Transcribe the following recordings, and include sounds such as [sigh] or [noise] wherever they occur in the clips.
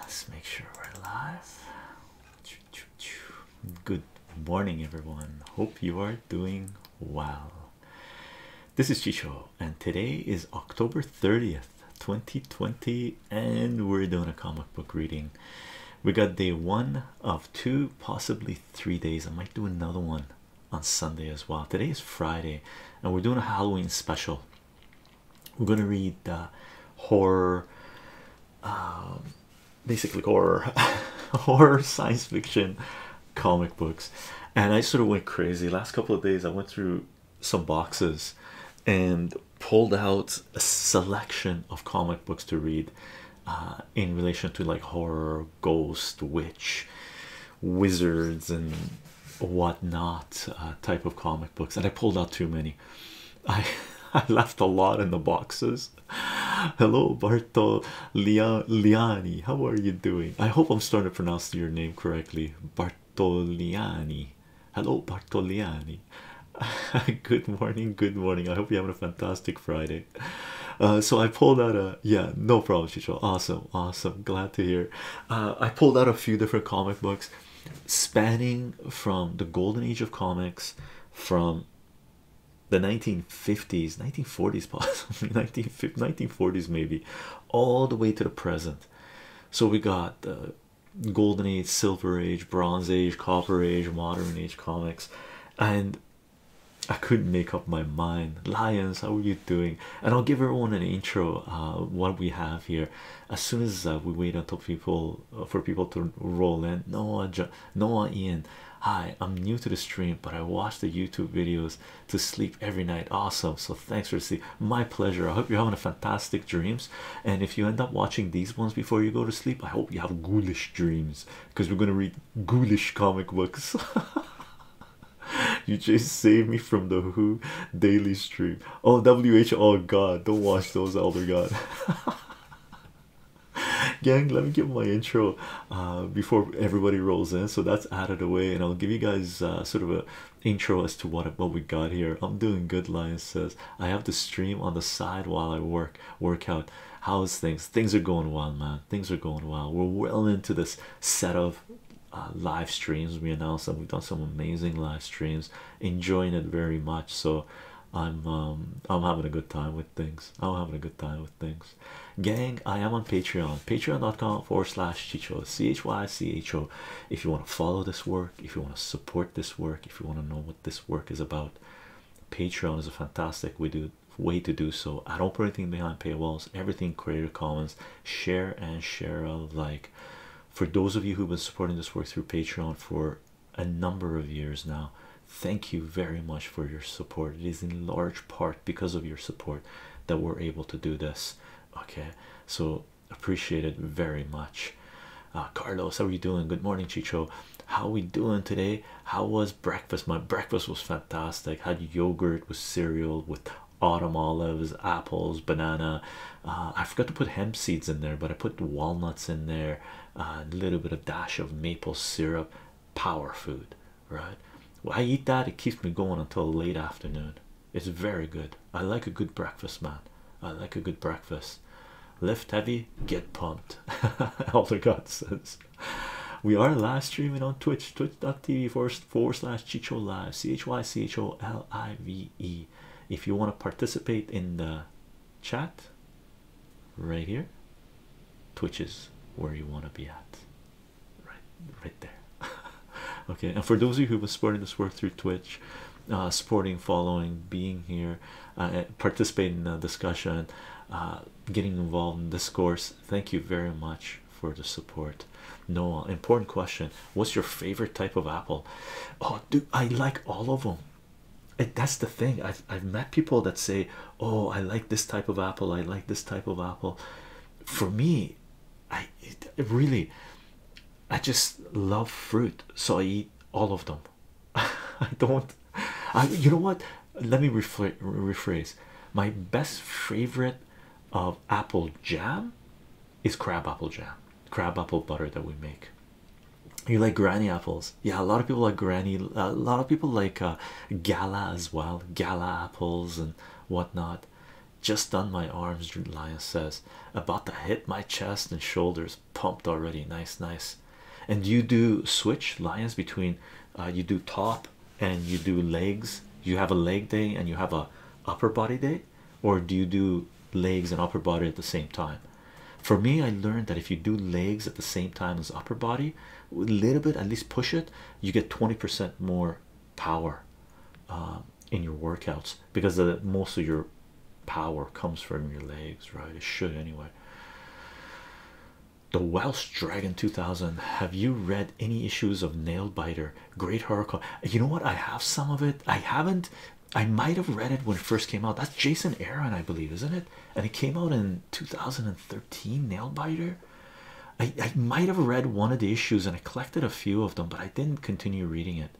Let's make sure we're live. Good morning, everyone. Hope you are doing well. This is Chicho, and today is October 30th, 2020, and we're doing a comic book reading. We got day one of two, possibly three days. I might do another one on Sunday as well. Today is Friday, and we're doing a Halloween special. We're gonna read uh, horror, um, basically horror, [laughs] horror science fiction, comic books, and I sort of went crazy. Last couple of days, I went through some boxes and pulled out a selection of comic books to read uh, in relation to like horror, ghost, witch, wizards, and whatnot uh, type of comic books. And I pulled out too many. [laughs] I I left a lot in the boxes. Hello, Bartolliani, How are you doing? I hope I'm starting to pronounce your name correctly. Bartolliani. Hello, Bartoliani. [laughs] good morning, good morning. I hope you're having a fantastic Friday. Uh, so I pulled out a yeah, no problem, Chicho. Awesome, awesome. Glad to hear. Uh, I pulled out a few different comic books spanning from the golden age of comics from the 1950s 1940s [laughs] possibly 1950, 1940s maybe all the way to the present so we got the golden age silver age bronze age copper age modern age comics and i couldn't make up my mind lions how are you doing and i'll give everyone an intro uh, what we have here as soon as uh, we wait until people uh, for people to roll in noah jo noah ian hi i'm new to the stream but i watch the youtube videos to sleep every night awesome so thanks for seeing. my pleasure i hope you're having a fantastic dreams and if you end up watching these ones before you go to sleep i hope you have ghoulish dreams because we're going to read ghoulish comic books [laughs] you just saved me from the who daily stream Oh, WH, oh god, don't watch those, Elder oh God. [laughs] Gang, let me give my intro uh, before everybody rolls in. So that's added away, and I'll give you guys uh, sort of a intro as to what what we got here. I'm doing good. Lion says I have to stream on the side while I work work out. house things? Things are going well, man. Things are going well. We're well into this set of uh, live streams. We announced that we've done some amazing live streams enjoying it very much. So I'm um, I'm having a good time with things. I'm having a good time with things. Gang, I am on Patreon, patreon.com forward slash Chicho, C-H-Y-C-H-O. If you want to follow this work, if you want to support this work, if you want to know what this work is about, Patreon is a fantastic way to, do so. I don't put anything behind paywalls, everything Creative Commons, share and share like for those of you who've been supporting this work through patreon for a number of years now thank you very much for your support it is in large part because of your support that we're able to do this okay so appreciate it very much uh, carlos how are you doing good morning chicho how are we doing today how was breakfast my breakfast was fantastic had yogurt with cereal with autumn olives apples banana uh, I forgot to put hemp seeds in there, but I put walnuts in there, uh, a little bit of dash of maple syrup, power food, right? Well, I eat that, it keeps me going until late afternoon. It's very good. I like a good breakfast, man. I like a good breakfast. Lift heavy, get pumped. [laughs] All the good sense. We are live streaming on Twitch, twitch.tv for slash Chicho Live, C H Y C H O L I V E if you want to participate in the chat right here twitch is where you want to be at right right there [laughs] okay and for those of you who were supporting this work through twitch uh, supporting following being here uh, participating in the discussion uh, getting involved in this course thank you very much for the support noah important question What's your favorite type of apple? Oh, dude, I like all of them. And that's the thing. I've I've met people that say, "Oh, I like this type of apple. I like this type of apple." For me, I it, really, I just love fruit, so I eat all of them. [laughs] I don't. I, you know what? Let me rephrase. My best favorite of apple jam is crab apple jam, crab apple butter that we make. You like granny apples? Yeah, a lot of people like granny. A lot of people like uh, gala as well, gala apples and whatnot. Just done my arms, Lion says. About to hit my chest and shoulders, pumped already. Nice, nice. And you do switch lions between uh, you do top and you do legs. You have a leg day and you have a upper body day. Or do you do legs and upper body at the same time? For me, I learned that if you do legs at the same time as upper body, a little bit at least push it, you get 20% more power um, in your workouts because most of your power comes from your legs, right? It should anyway. The Welsh Dragon 2000. Have you read any issues of Nail Biter? Great Horrorcore. You know what? I have some of it. I haven't I might have read it when it first came out. That's Jason Aaron, I believe, isn't it? And it came out in 2013, Nailbiter. I, I might have read one of the issues and I collected a few of them, but I didn't continue reading it.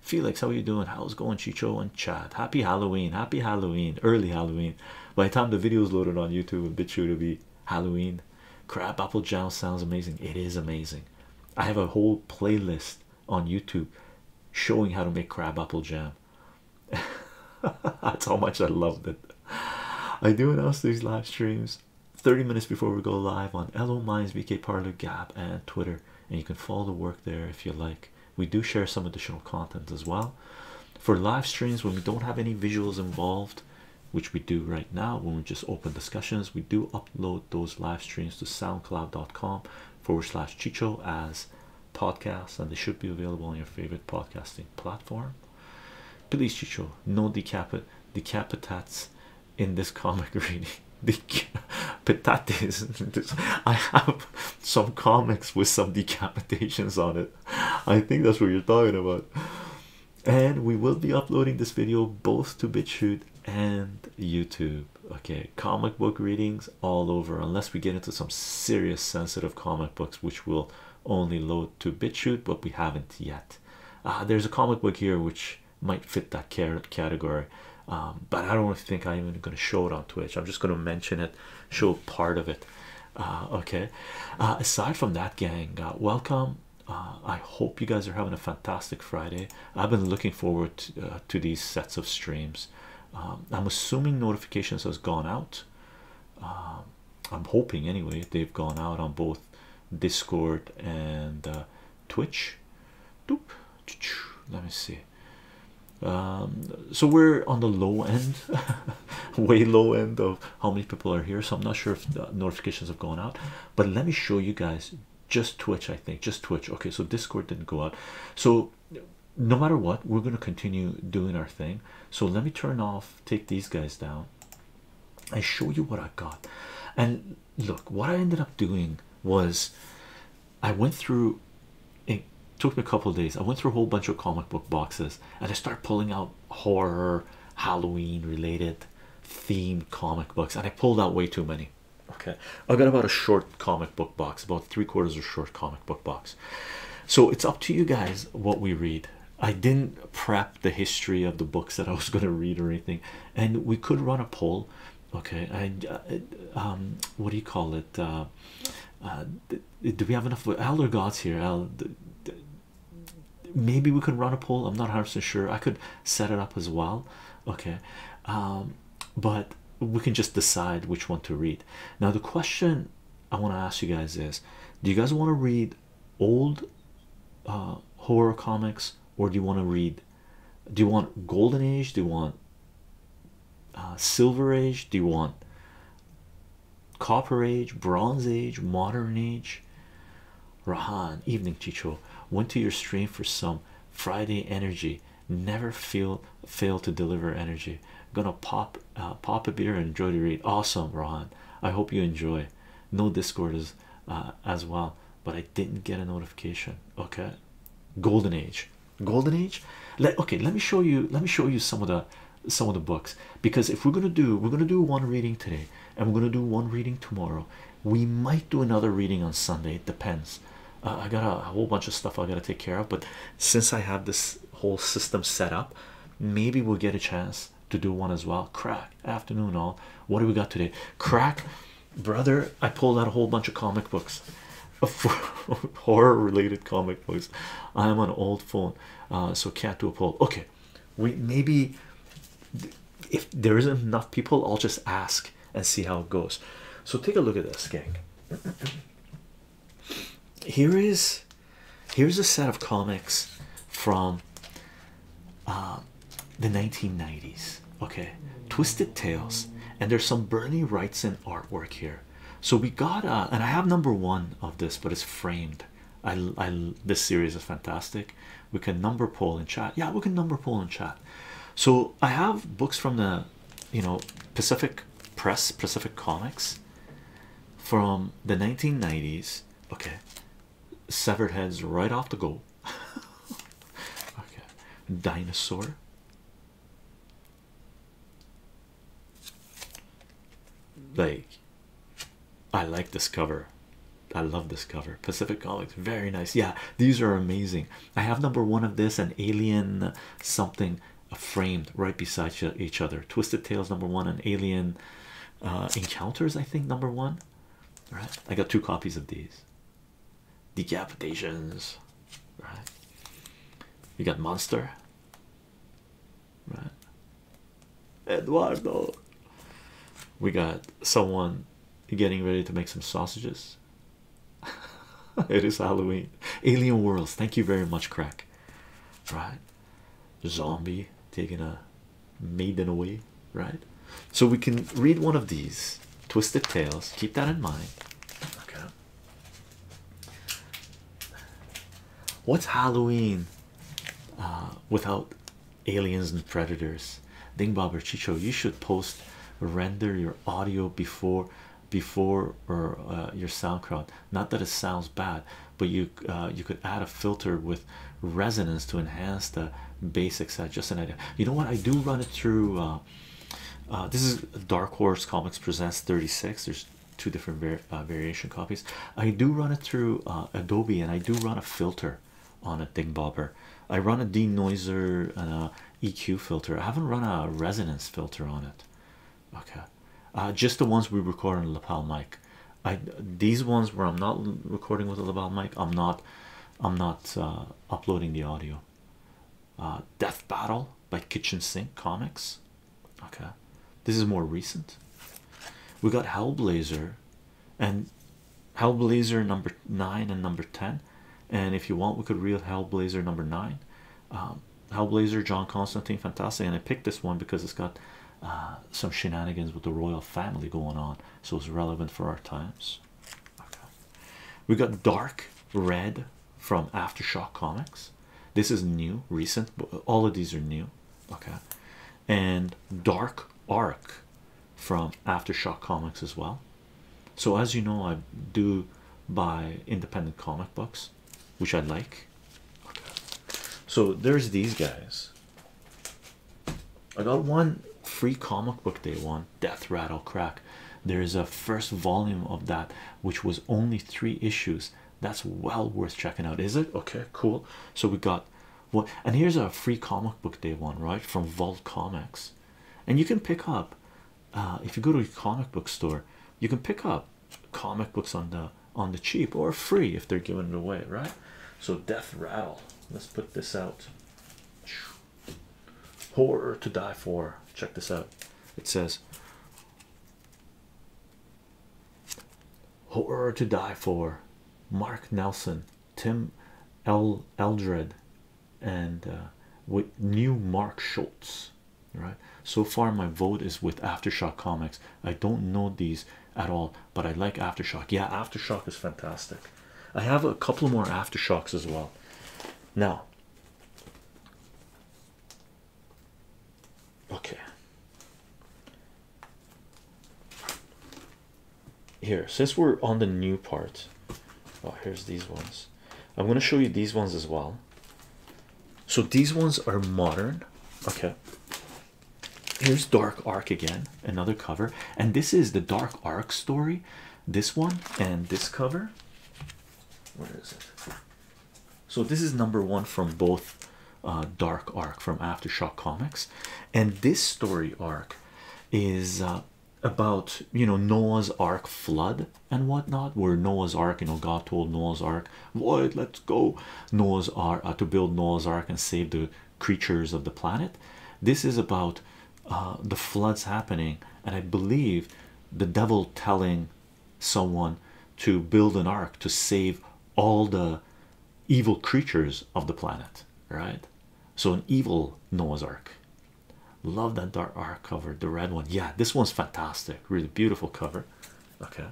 Felix, how are you doing? How's going, Chicho and Chad? Happy Halloween, happy Halloween, early Halloween. By the time the video is loaded on YouTube, a bit sure to be Halloween. Crab apple jam sounds amazing. It is amazing. I have a whole playlist on YouTube showing how to make crab apple jam. [laughs] That's how much I love it. I do announce these live streams 30 minutes before we go live on LO Minds, VK Parlor, Gap, and Twitter, and you can follow the work there if you like. We do share some additional content as well for live streams when we don't have any visuals involved, which we do right now when we just open discussions. We do upload those live streams to soundcloud.com forward slash chicho as podcasts and they should be available on your favorite podcasting platform please chicho no decapit decapitats in this comic [laughs] reading Patates. [laughs] I have some comics with some decapitations on it. I think that's what you're talking about. And we will be uploading this video both to BitChute and YouTube. Okay, comic book readings all over, unless we get into some serious sensitive comic books, which will only load to BitChute, but we haven't yet. Uh, there's a comic book here which might fit that category, um, but I don't think I'm even going to show it on Twitch. I'm just going to mention it, show part of it. Uh, okay, uh, aside from that, gang, welcome. I hope you guys are having a fantastic Friday. I've been looking forward to these sets of streams. Um, I'm assuming notifications has gone out. Um, I'm hoping anyway they've gone out on both Discord and uh, Twitch. Doop. Let me see. Um, so we're on the low end, [laughs] way low end of how many people are here. So I'm not sure if notifications have gone out, but let me show you guys just Twitch, I think. Just Twitch. Okay, so Discord didn't go out. So no matter what, we're gonna continue doing our thing. So let me turn off, take these guys down, and show you what I got. And look, what I ended up doing was I went through it took me a couple days. I went through a whole bunch of comic book boxes and I started pulling out horror, Halloween related themed comic books, and I pulled out way too many. Okay, I got about a short comic book box, about three quarters of a short comic book box. So it's up to you guys what we read. I didn't prep the history of the books that I was [laughs] going to read or anything, and we could run a poll. Okay, and uh, um, what do you call it? Uh, uh, do we have enough elder gods here? maybe we could run a poll. I'm not 100% sure. I could set it up as well. Okay, um, but we can just decide which one to read. Now, the question I want to ask you guys is do you guys want to read old uh, horror comics or do you want to read? Do you want Golden Age? Do you want uh, Silver Age? Do you want Copper Age, Bronze Age, Modern Age? Rahan, evening, Chicho. Went to your stream for some Friday energy never feel fail to deliver energy gonna pop uh, pop a beer and enjoy the read awesome Rohan I hope you enjoy no discord as uh, as well but I didn't get a notification okay golden age golden age let okay let me show you let me show you some of the some of the books because if we're gonna do we're gonna do one reading today and we're gonna do one reading tomorrow we might do another reading on Sunday it depends uh, I got a whole bunch of stuff I got to take care of. But since I have this whole system set up, maybe we'll get a chance to do one as well. Crack afternoon, all. What do we got today? Crack, brother. I pulled out a whole bunch of comic books, [laughs] horror related comic books. I am on an old phone, uh, so can't do a poll. Okay, we maybe if there isn't enough people, I'll just ask and see how it goes. So take a look at this, gang. Here is here's a set of comics from uh, the 1990s. Okay, Twisted Tales, and there's some Bernie Wrightson artwork here. So we got uh, and I have number one of this, but it's framed. I, I this series is fantastic. We can number pull in chat. Yeah, we can number pull in chat. So I have books from the you know Pacific Press, Pacific Comics from the 1990s. Okay, severed heads right off the go. [laughs] okay, dinosaur. Like, I like this cover. I love this cover. Pacific Comics, very nice. Yeah, these are amazing. I have number one of this an Alien something uh, framed right beside each other. Twisted Tales number one and Alien uh, Encounters, I think number one. All right, I got two copies of these. Decapitations, right? You got Monster, right? Eduardo. We got someone getting ready to make some sausages. [laughs] it is Halloween. Alien Worlds, thank you very much, Crack. Right, zombie taking a maiden away, right? So we can read one of these twisted tales, keep that in mind. What's Halloween uh, without aliens and predators? Ding or Chicho, you should post render your audio before before or uh, your SoundCloud. Not that it sounds bad, but you uh, you could add a filter with resonance to enhance the basics. That's just an idea. You know what? I do run it through. Uh, uh, this is Dark Horse Comics Presents 36. There's two different variation copies. I do run it through Adobe, and I do run a filter on a Dick Bobber. I run a denoiser EQ filter. I haven't run a resonance filter on it. Okay, uh, just the ones we record on lapel mic. I these ones where I'm not recording with a lapel mic. I'm not. I'm not uh, uploading the audio. Uh, Death Battle by Kitchen Sink Comics. Okay, this is more recent. We got Hellblazer, and Hellblazer number nine and number ten and if you want we could read hellblazer number nine um, hellblazer john constantine fantastic and i picked this one because it's got uh, some shenanigans with the royal family going on so it's relevant for our times okay. we got dark red from aftershock comics this is new recent all of these are new okay and dark arc from aftershock comics as well so, as you know, I do buy independent comic books, which I like. So, there's these guys. I got one free comic book day one Death Rattle Crack. There is a first volume of that, which was only three issues. That's well worth checking out, is it? Okay, cool. So, we got what, and here's a free comic book day one, right? From Vault Comics. And you can pick up uh, if you go to a comic book store, you can pick up comic books on the on the cheap or free if they're giving it away, right? So Death Rattle. Let's put this out. Horror to die for. Check this out. It says Horror to die for. Mark Nelson, Tim L. Eldred, and uh, with new Mark Schultz. Right, so far, my vote is with Aftershock Comics. I don't know these at all, but I like Aftershock. Yeah, Aftershock is fantastic. I have a couple more Aftershocks as well. Now, okay, here since we're on the new part, oh, here's these ones. I'm going to show you these ones as well. So these ones are modern. Okay. Here's Dark Arc again, another cover. And this is the Dark Arc story. This one and this cover. Where is it? So this is number one from both uh, Dark Arc from Aftershock Comics. And this story arc is uh, about you know Noah's Ark flood and whatnot, where Noah's Ark, you know, God told Noah's Ark, boy, let's go, Noah's Ark uh, to build Noah's Ark and save the creatures of the planet. This is about uh, the floods happening, and I believe the devil telling someone to build an ark to save all the evil creatures of the planet, right? So, an evil Noah's Ark, Love that dark art cover, the red one. Yeah, this one's fantastic. Really beautiful cover. Okay,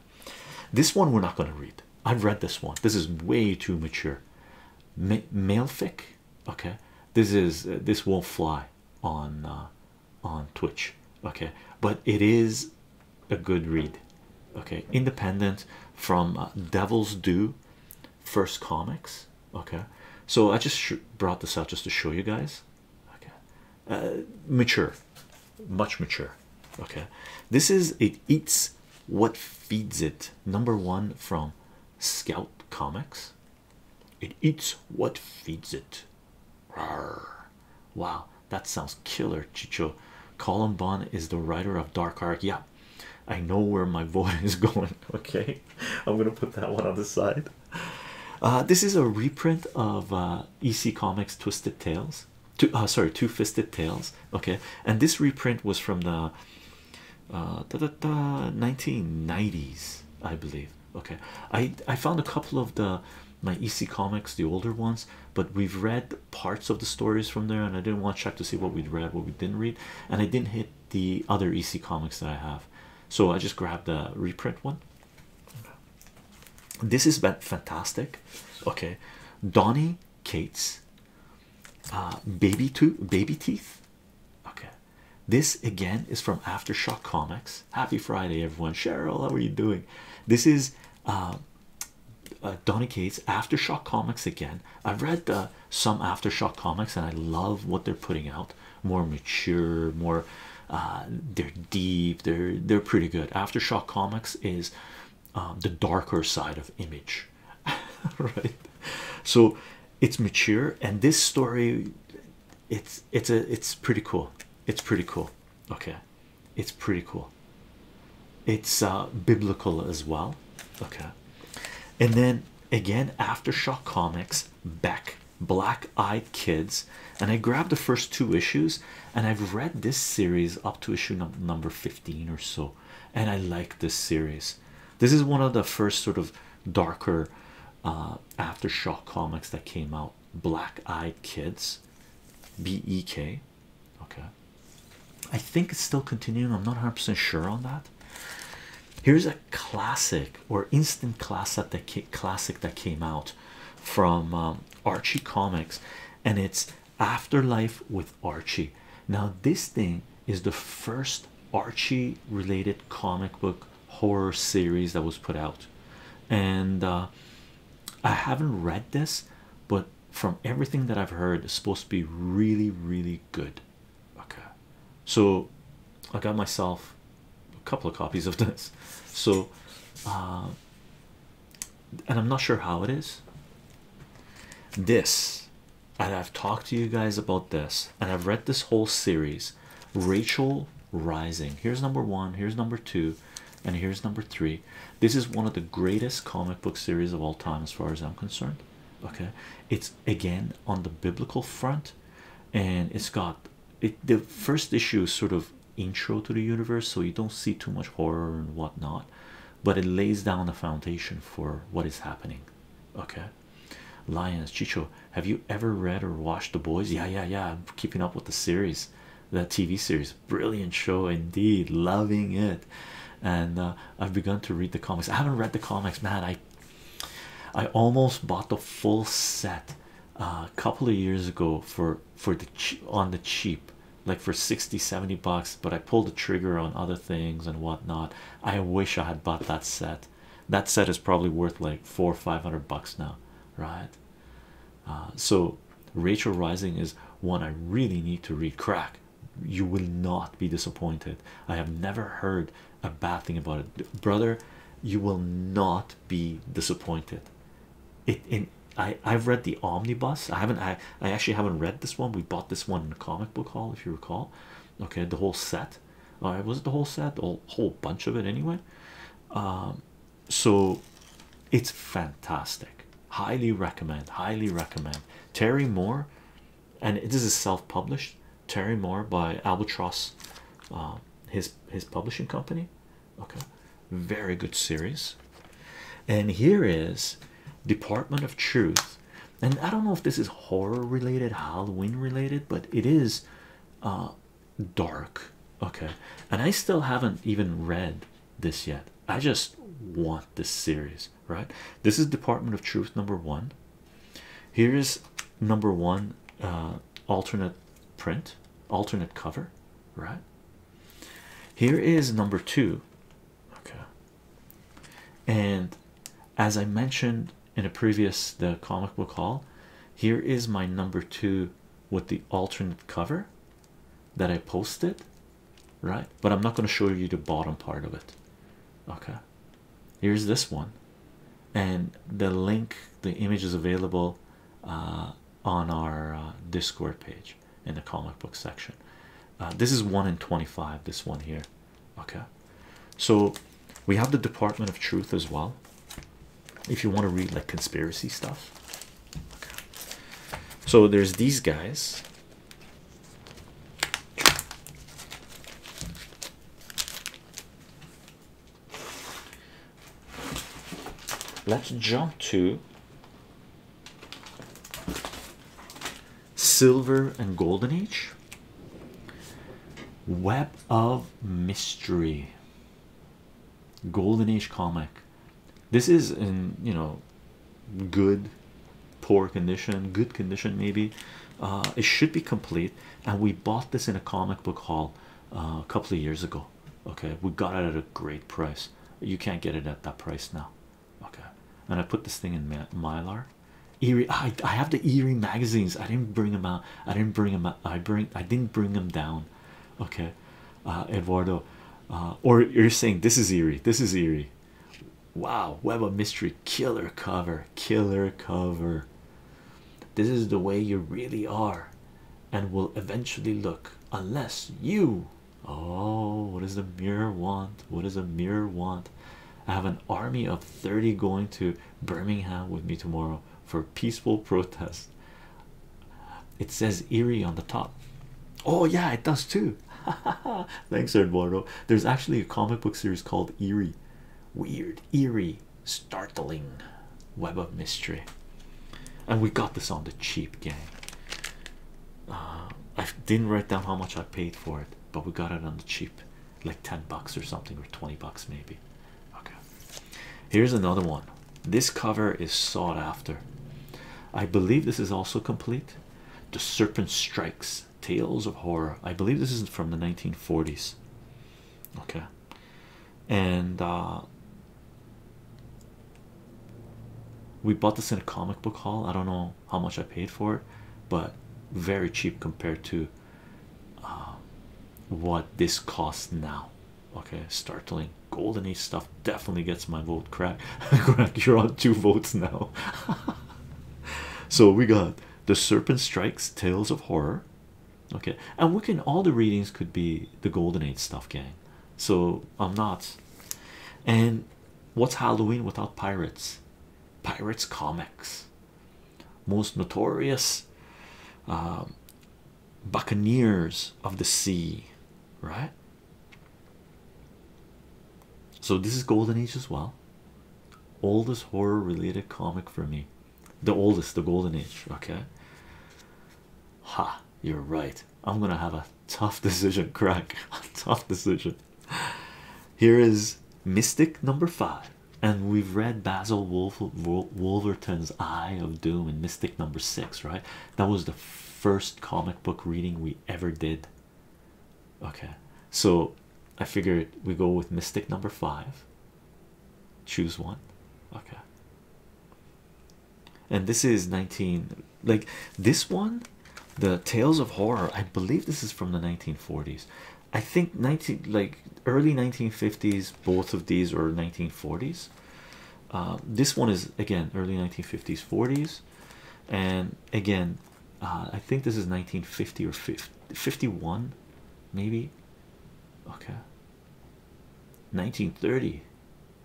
this one we're not going to read. I've read this one. This is way too mature. Malefic. Okay, this is uh, this won't fly on uh, on Twitch. Okay, but it is a good read. Okay, independent from uh, Devil's Due, First Comics. Okay, so I just brought this out just to show you guys okay uh, mature much mature okay this is it eats what feeds it number one from scout comics it eats what feeds it Rawr. wow that sounds killer chicho Columbon is the writer of dark arc yeah I know where my [laughs] vote is going okay [laughs] I'm gonna put that one on the side. Uh, this is a reprint of uh, EC Comics Twisted Tales. Uh, sorry, Two Fisted Tales. Okay, and this reprint was from the 1990s, I believe. Okay, I I found a couple of the my EC Comics, the older ones, but we've read parts of the stories from there, and I didn't want to check to see what we'd read, what we didn't read, and I didn't hit the other EC Comics that I have, so I just grabbed the reprint one this is fantastic. Okay, Donnie Cates, uh, baby to baby teeth. Okay, this again is from Aftershock Comics. Happy Friday, everyone. Cheryl, how are you doing? This is uh, uh, Donnie Cates Aftershock Comics again. I've read uh, some Aftershock comics and I love what they're putting out more mature, more uh, they're deep, they're they're pretty good. Aftershock Comics is um, the darker side of image, [laughs] right? So it's mature, and this story it's it's a it's pretty cool. It's pretty cool. Okay, it's pretty cool. It's uh, biblical as well. Okay, and then again, Aftershock Comics, Beck Black Eyed Kids, and I grabbed the first two issues, and I've read this series up to issue number 15 or so, and I like this series. This is one of the first sort of darker uh, aftershock comics that came out. Black Eyed Kids, B E K. Okay, I think it's still continuing. I'm not 100% sure on that. Here's a classic or instant classic that classic that came out from um, Archie Comics, and it's Afterlife with Archie. Now this thing is the first Archie related comic book horror series that was put out, and uh, I haven't read this, but from everything that I've heard, it's supposed to be really, really good. Okay, so I got myself a couple of copies of this. So, uh, and I'm not sure how it is. This, and I've talked to you guys about this, and I've read this whole series Rachel Rising. Here's number one, here's number two, and here's number three. This is one of the greatest comic book series of all time, as far as I'm concerned. Okay, it's again on the biblical front, and it's got it the first issue is sort of intro to the universe so you don't see too much horror and whatnot but it lays down the foundation for what is happening okay lions chicho have you ever read or watched the boys yeah yeah yeah i'm keeping up with the series that tv series brilliant show indeed loving it and uh, i've begun to read the comics i haven't read the comics man i i almost bought the full set a couple of years ago for for the on the cheap like for 60 70 bucks but i pulled the trigger on other things and whatnot i wish i had bought that set that set is probably worth like four five hundred bucks now right uh, so rachel rising is one i really need to read crack you will not be disappointed i have never heard a bad thing about it brother you will not be disappointed. It in I I've read the omnibus. I haven't I I actually haven't read this one. We bought this one in a comic book hall, if you recall. Okay, the whole set. was it the whole set? The whole, whole bunch of it anyway. Um, so it's fantastic. Highly recommend. Highly recommend. Terry Moore, and this is self-published. Terry Moore by Albatross um, his his publishing company okay very good series and here is department of truth and i don't know if this is horror related halloween related but it is uh, dark okay and i still haven't even read this yet i just want this series right this is department of truth number one here is number one uh, alternate print, alternate cover, right? Here is number two, okay. And as I mentioned in a previous the comic book haul, here is my number two with the alternate cover that I posted, right? But I'm not going to show you the bottom part of it, okay? Here's this one and the link the image is available uh, on our uh, discord page in the comic book section uh, this is 1 in 25 this one here okay so we have the department of truth as well if you want to read like conspiracy stuff okay. so there's these guys Let's jump to Silver and Golden Age Web of Mystery Golden Age comic. This is in you know good, poor condition, good condition, maybe. Uh, it should be complete. And we bought this in a comic book haul uh, a couple of years ago. Okay, we got it at a great price. You can't get it at that price now. Okay, and I put this thing in mylar. Erie, I, I have the Erie magazines. I didn't bring them out. I didn't bring them. Out. I bring. I didn't bring them down. Okay, uh, Eduardo, uh, or you're saying this is Erie. This is Erie. Wow, Web of Mystery, killer cover, killer cover. This is the way you really are and will eventually look unless you oh what does the mirror want what does a mirror want i have an army of 30 going to birmingham with me tomorrow for peaceful protest it says eerie on the top oh yeah it does too [laughs] thanks eduardo there's actually a comic book series called eerie weird eerie startling web of mystery. And we got this on the cheap game. Uh, I didn't write down how much I paid for it, but we got it on the cheap, like 10 bucks or something, or 20 bucks maybe. Okay, here's another one. This cover is sought after. I believe this is also complete. The Serpent Strikes Tales of Horror. I believe this is from the 1940s okay and uh we bought this in a comic book haul i don't know how much i paid for it but very cheap compared to uh, what this costs now okay startling golden age stuff definitely gets my vote crack [laughs] you're on two votes now [laughs] so we got the serpent strikes tales of horror okay and we can all the readings could be the golden age stuff gang so i'm not and what's halloween without pirates pirates comics most notorious uh, buccaneers of the sea right so this is golden age as well oldest horror related comic for me the oldest, the golden age. Okay, ha, you're right. I'm gonna have a tough [laughs] decision, crack. A tough decision. Here is Mystic number five, and we've read Basil Wolverton's Eye of Doom and Mystic number six, right? That was the first comic book reading we ever did. Okay, so I figured we go with Mystic number five. Choose one. Okay. And this is 19 like this one, the Tales of Horror. I believe this is from the 1940s. I think 19 like early 1950s, both of these are 1940s. Uh, this one is again early 1950s, 40s, and again, uh, I think this is 1950 or 50, 51, maybe. Okay, 1930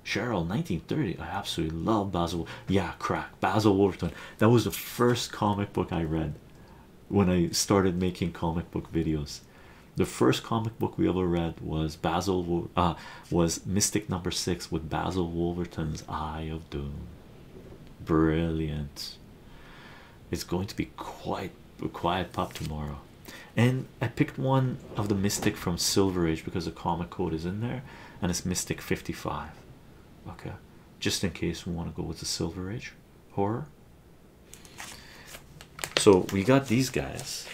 Cheryl 1930 I absolutely love Basil yeah crack Basil Wolverton that was the first comic book I read when I started making comic book videos the first comic book we ever read was Basil uh, was Mystic number six with Basil Wolverton's Eye of Doom brilliant it's going to be quite quiet pop tomorrow and i picked one of the mystic from silver age because the comic code is in there and it's mystic 55 okay just in case we want to go with the silver age horror so we got these guys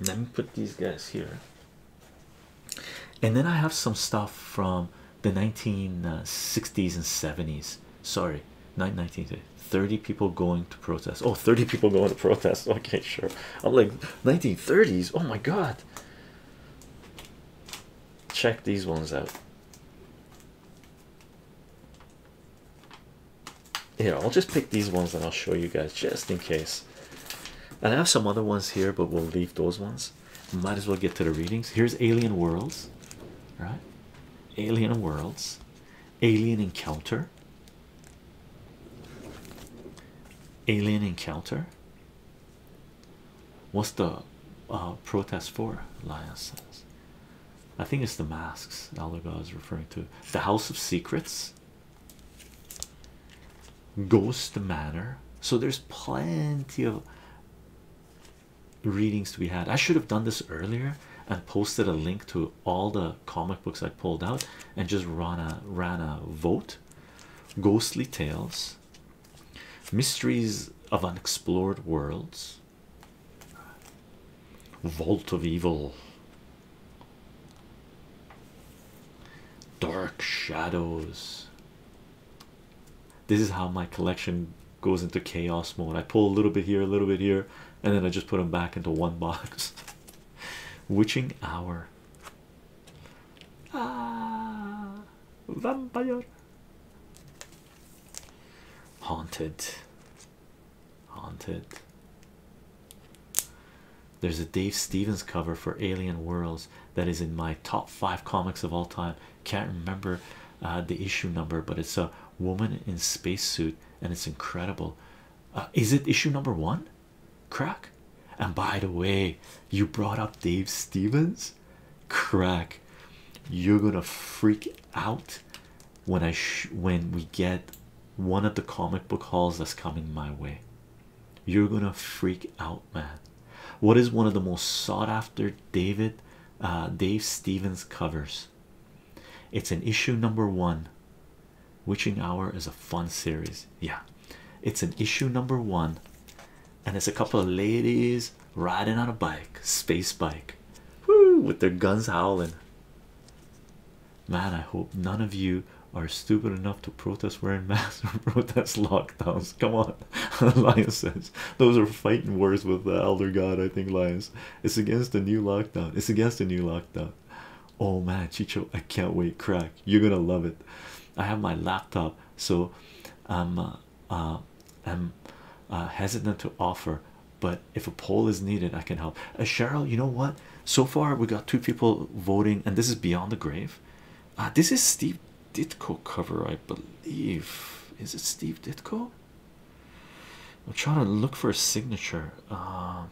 let me put these guys here and then i have some stuff from the 1960s and 70s sorry Nine nineteen Thirty people going to protest. Oh, 30 people going to protest. [laughs] Okay, sure. I'm like 1930s. Oh my god. Check these ones out. Here, I'll just pick these ones and I'll show you guys just in case. And I have some other ones here, but we'll leave those ones. Might as well get to the readings. Here's Alien Worlds, right? Alien Worlds, Alien Encounter, Alien encounter. What's the uh, protest for? Lion says. I think it's the masks Alaga is referring to. The House of Secrets. Ghost Manor. So there's plenty of readings to be had. I should have done this earlier and posted a link to all the comic books I pulled out and just ran a ran a vote. Ghostly Tales, Mysteries of Unexplored Worlds, Vault of Evil, Dark Shadows. This is how my collection goes into chaos mode. I pull a little bit here, a little bit here, and then I just put them back into one box. [laughs] Witching hour. Ah, vampire. Haunted. Haunted. There's a Dave Stevens cover for Alien Worlds that is in my top five comics of all time. Can't remember uh, the issue number, but it's a woman in space suit, and it's incredible. Uh, is it issue number one crack and by the way you brought up dave stevens crack you're gonna freak out when i when we get one of the comic book hauls that's coming my way you're gonna freak out man what is one of the most sought after david uh, dave stevens covers it's an issue number one. Witching Hour is a fun series. Yeah, it's an issue number one, and it's a couple of ladies riding on a bike, space bike, Woo, with their guns howling. Man, I hope none of you are stupid enough to protest wearing [laughs] masks or protest lockdowns. Come on, [laughs] Lions says those are fighting words with the elder god. I think Lions. It's against a new lockdown. It's against a new lockdown oh man chicho i can't wait crack you're gonna love it i have my laptop so i'm uh, uh, i'm uh, hesitant to offer but if a poll is needed i can help uh, cheryl you know what so far we got two people voting and this is beyond the grave uh, this is steve ditko cover i believe is it steve ditko i'm trying to look for a signature uh,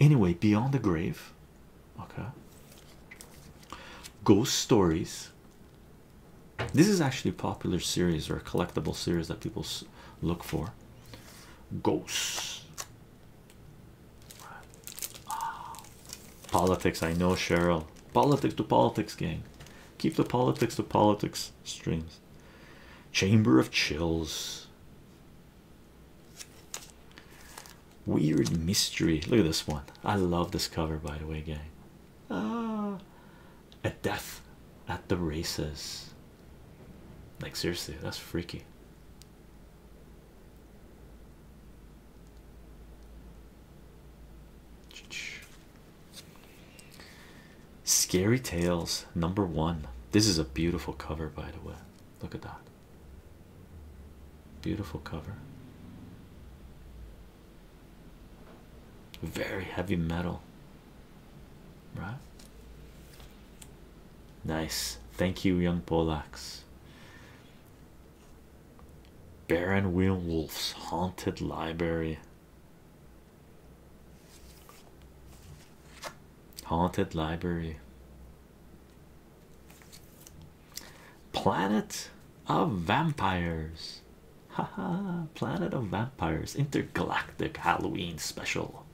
Anyway, Beyond the Grave, okay, Ghost Stories. This is actually a popular series or a collectible series that people look for. Ghosts, politics. I know, Cheryl. Politics to politics, gang. Keep the politics to politics streams. Chamber of Chills. Weird mystery. Look at this one. I love this cover, by the way, gang. Ah, a death at the races. Like, seriously, that's freaky. Scary Tales number one. This is a beautiful cover, by the way. Look at that. Beautiful cover. Very heavy metal, right? Nice. Thank you, young Polacks. Baron Wheel Haunted Library. Haunted Library. Planet of Vampires. Haha, Planet of Vampires Intergalactic Halloween Special.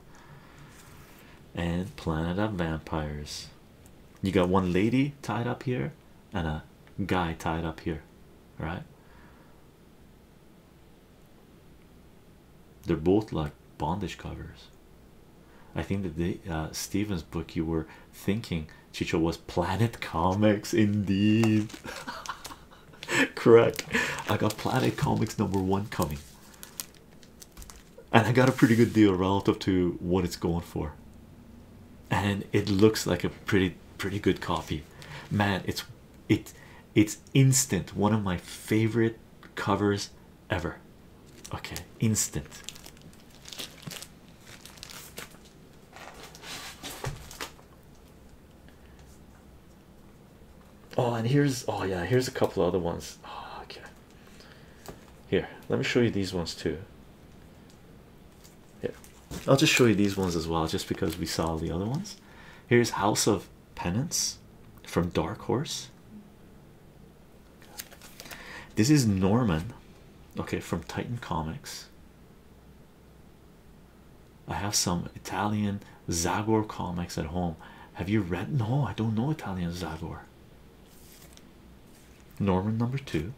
And Planet of Vampires. You got one lady tied up here and a guy tied up here, right? They're both like bondage covers. I think that the uh, Stevens book you were thinking Chicho was Planet Comics indeed. [laughs] Correct. I got Planet Comics number one coming, and I got a pretty good deal relative to what it's going for. And it looks like a pretty pretty good copy, man. It's it it's instant. One of my favorite covers ever. Okay, instant. Oh, and here's oh, yeah, here's a couple other ones. Oh, okay, here, let me show you these ones too. Yeah, I'll just show you these ones as well, just because we saw the other ones. Here's House of Penance from Dark Horse. This is Norman, okay, from Titan Comics. I have some Italian Zagor comics at home. Have you read? No, I don't know Italian Zagor. Norman number two.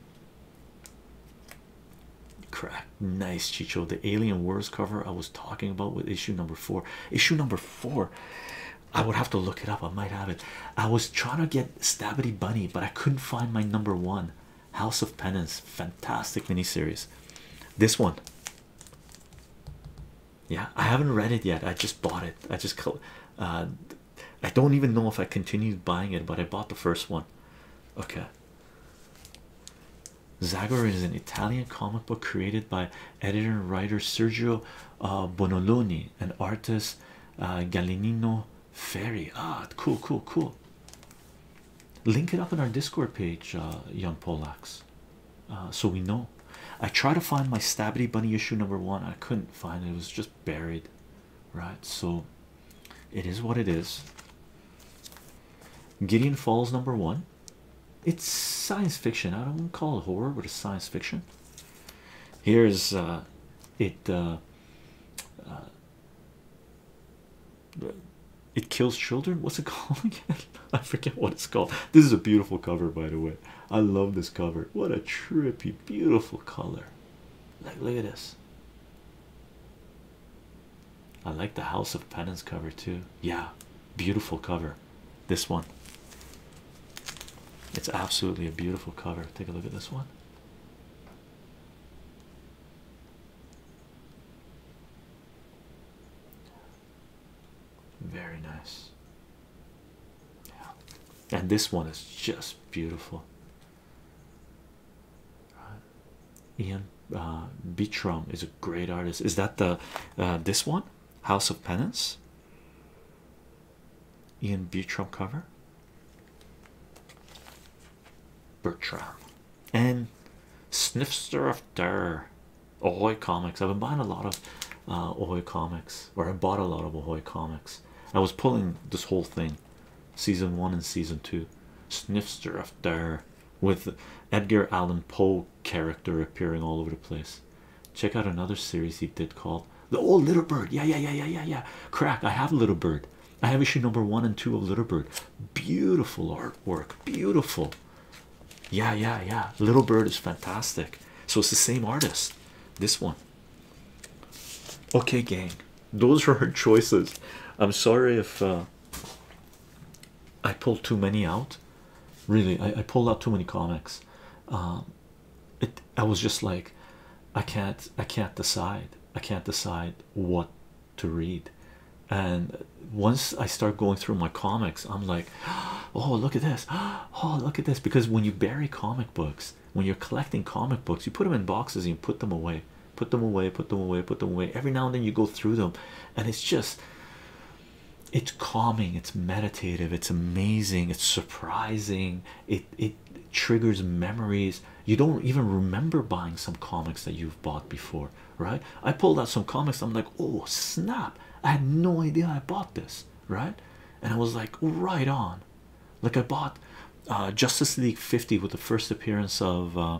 Crack. Nice, Chicho. The Alien Wars cover I was talking about with issue number four. Issue number Four, I would have to look it up. I might have it. I was trying to get Stabity Bunny, but I couldn't find my number one. House of Penance, fantastic miniseries. This one, yeah, I haven't read it yet. I just bought it. I just, uh, I don't even know if I continued buying it, but I bought the first one. Okay, Zagor is an Italian comic book created by editor and writer Sergio uh, Bonoloni and artist uh, Galinino Ferry. Ah, cool, cool, cool. Link it up on our Discord page, uh, young Polacks, uh, so we know. I tried to find my Stabby Bunny issue number one. I couldn't find it. It was just buried, right? So, it is what it is. Gideon Falls number one. It's science fiction. I don't call it horror, but it's science fiction. Here's uh, it. Uh, uh, it kills children. What's it [laughs] called again? I forget what it's called. This is a beautiful cover, by the way. I love this cover. What a trippy, beautiful color. Like, look at this. I like the House of Penance cover too. Yeah, beautiful cover. This one. It's absolutely a beautiful cover. Take a look at this one. Very nice. And this one is just beautiful. Ian uh, is a great artist. Is that the uh, this one? House of Penance, Ian Beatram cover, Bertram, and Snifster of Durr. Ahoy comics. I've been buying a lot of uh, comics, or I bought a lot of Ahoy comics. I was pulling this whole thing, season one and season two. Snifster of Durr with Edgar Allan Poe character appearing all over the place. Check out another series he did called The Old Little Bird. Yeah, yeah, yeah, yeah, yeah, yeah. Crack. I have Little Bird. I have issue number one and two of Little Bird. Beautiful artwork. Beautiful. Yeah, yeah, yeah. Little Bird is fantastic. So it's the same artist. This one. Okay, gang. Those are our [laughs] choices. I'm sorry if uh, I pulled too many out. Really, I, I pulled out too many comics. Um, it I was just like, I can't, I can't decide. I can't decide what to read. And once I start going through my comics, I'm like, [gasps] oh look at this, [gasps] oh look at this. Because when you bury comic books, when you're collecting comic books, you put them in boxes and you put them away, put them away, put them away, put them away. Every now and then you go through them, and it's just it's calming it's meditative it's amazing it's surprising it it triggers memories you don't even remember buying some comics that you've bought before right i pulled out some comics i'm like oh snap i had no idea i bought this right and i was like right on like i bought uh, justice league 50 with the first appearance of uh,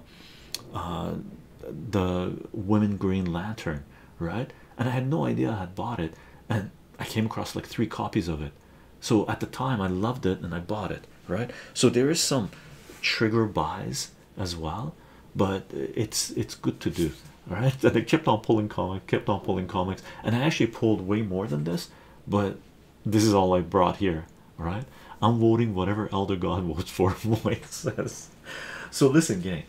uh, the women green lantern right? And I had no idea I had bought it, and I came across like three copies of it. So at the time, I loved it and I bought it, right? So there is some trigger buys as well, but it's it's good to do, Right, [laughs] And I kept on pulling comics, kept on pulling comics, and I actually pulled way more than this, but this is all I brought here, Right, right? I'm voting whatever Elder God [laughs] votes for, [laughs] Moy So listen, gang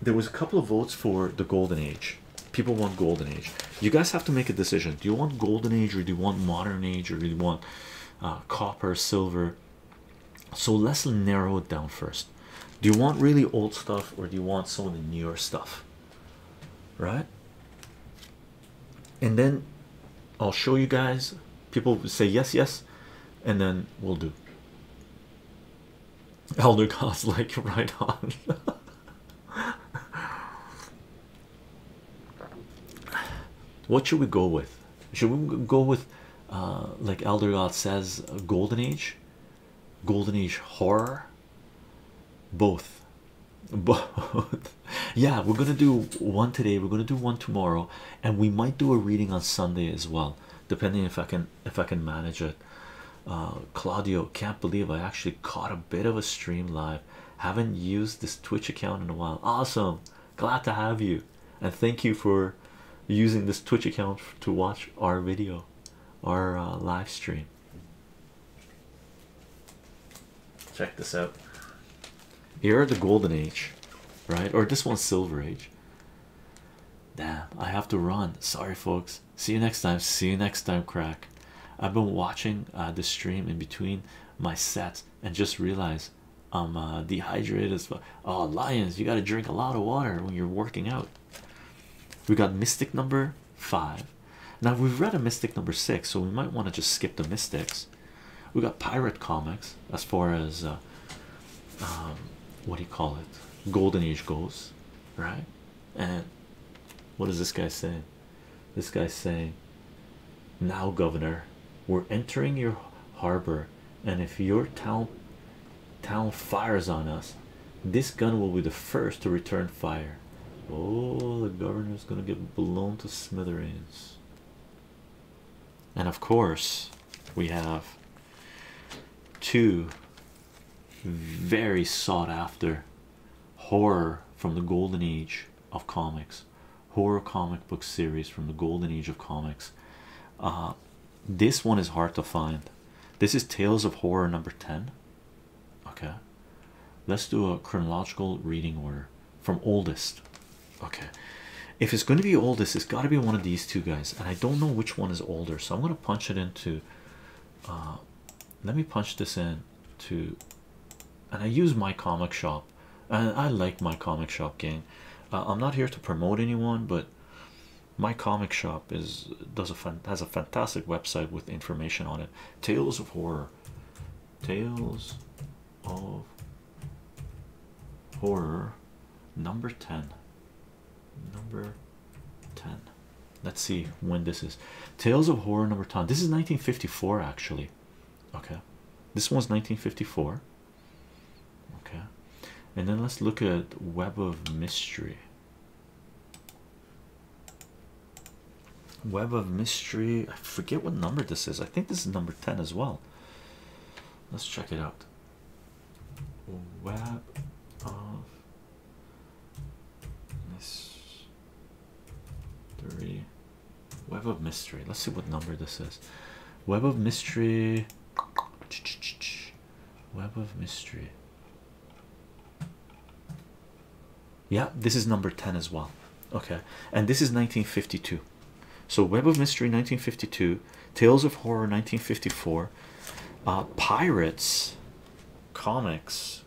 there was a couple of votes for the golden age people want golden age you guys have to make a decision do you want golden age or do you want modern age or do you want uh, copper silver so let's narrow it down first do you want really old stuff or do you want some of the newer stuff right and then i'll show you guys people say yes yes and then we'll do Elder God's like [laughs] right on. what should we go with? Should we go with uh, like Elder God says, Golden Age, Golden Age horror? Both, [laughs] both. yeah, we're gonna do one today. We're gonna do one tomorrow, and we might do a reading on Sunday as well, depending if I can if I can manage it. Uh, Claudio can't believe I actually caught a bit of a stream live. Haven't used this Twitch account in a while. Awesome, glad to have you, and thank you for using this Twitch account to watch our video, our uh, live stream. Check this out. Here at the golden age, right? Or this one's silver age. Damn, I have to run. Sorry, folks. See you next time. See you next time, crack. I've been watching uh, the stream in between my sets and just realized I'm uh, dehydrated as well. Oh, Lions, you got to drink a lot of water when you're working out. We got Mystic number five. Now, we've read a Mystic number six, so we might want to just skip the Mystics. We got Pirate Comics as far as uh, um, what do you call it? Golden Age goes, right? And what does this guy say? This guy saying, Now, Governor, we're entering your harbor, and if your town town fires on us, this gun will be the first to return fire. Oh, the governor's gonna get blown to smithereens. And of course, we have two very sought after horror from the golden age of comics horror comic book series from the golden age of comics uh, this one is hard to find this is tales of horror number 10 okay let's do a chronological reading order from oldest okay if it's going to be oldest it's got to be one of these two guys and i don't know which one is older so i'm going to punch it in to uh, let me punch this in to and I use my comic shop and I like my comic shop gang uh, I'm not here to promote anyone but my comic shop is does a fun has a fantastic website with information on it tales of horror tales of horror number 10 number 10 let's see when this is tales of horror number 10 this is 1954 actually okay this one's 1954 okay and then let's look at web of mystery web of mystery i forget what number this is i think this is number 10 as well let's check it out web of mystery web of mystery let's see what number this is web of mystery web of mystery yeah this is number 10 as well okay and this is 1952 so web of mystery 1952 Tales of Horror 1954, uh, Pirates Comics,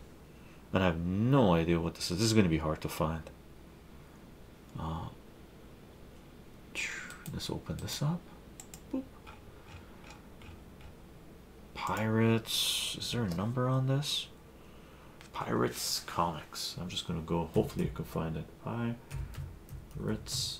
and I have no idea what this is. This is going to be hard to find. Uh, let's open this up. Pirates, is there a number on this? Pirates Comics. I'm just going to go, hopefully, I can find it. Pirates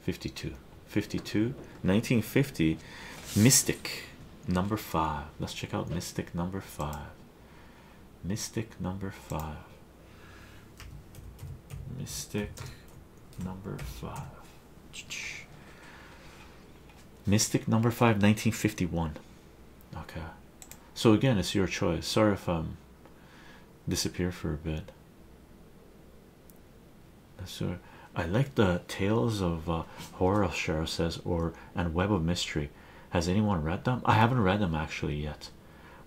52 52 1950 mystic number five let's check out mystic number five mystic number five mystic number five mystic number five 1951 okay so again it's your choice sorry if i disappear for a bit. Sure. I like the tales of uh, horror. Cheryl says, or and web of mystery. Has anyone read them? I haven't read them actually yet.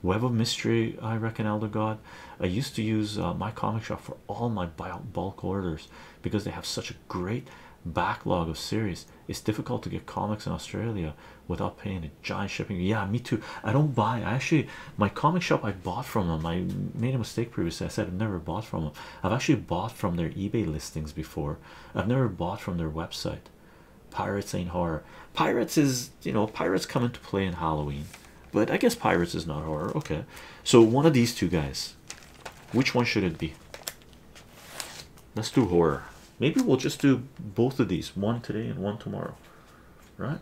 Web of mystery. I reckon Elder God. I used to use uh, my comic shop for all my bulk orders because they have such a great backlog of series. It's difficult to get comics in Australia without paying to giant shipping. Yeah, me too. I don't buy. I actually, my comic shop I bought from them. I made a mistake previously. I said I've never bought from them. I've actually bought from their eBay listings before. I've never bought from their website. Pirates ain't horror. Pirates is, you know, pirates come into play in Halloween, but I guess pirates is not horror. Okay, so one of these two guys. Which one should it be? Let's do horror. Maybe we'll just do both of these, one today and one tomorrow, right?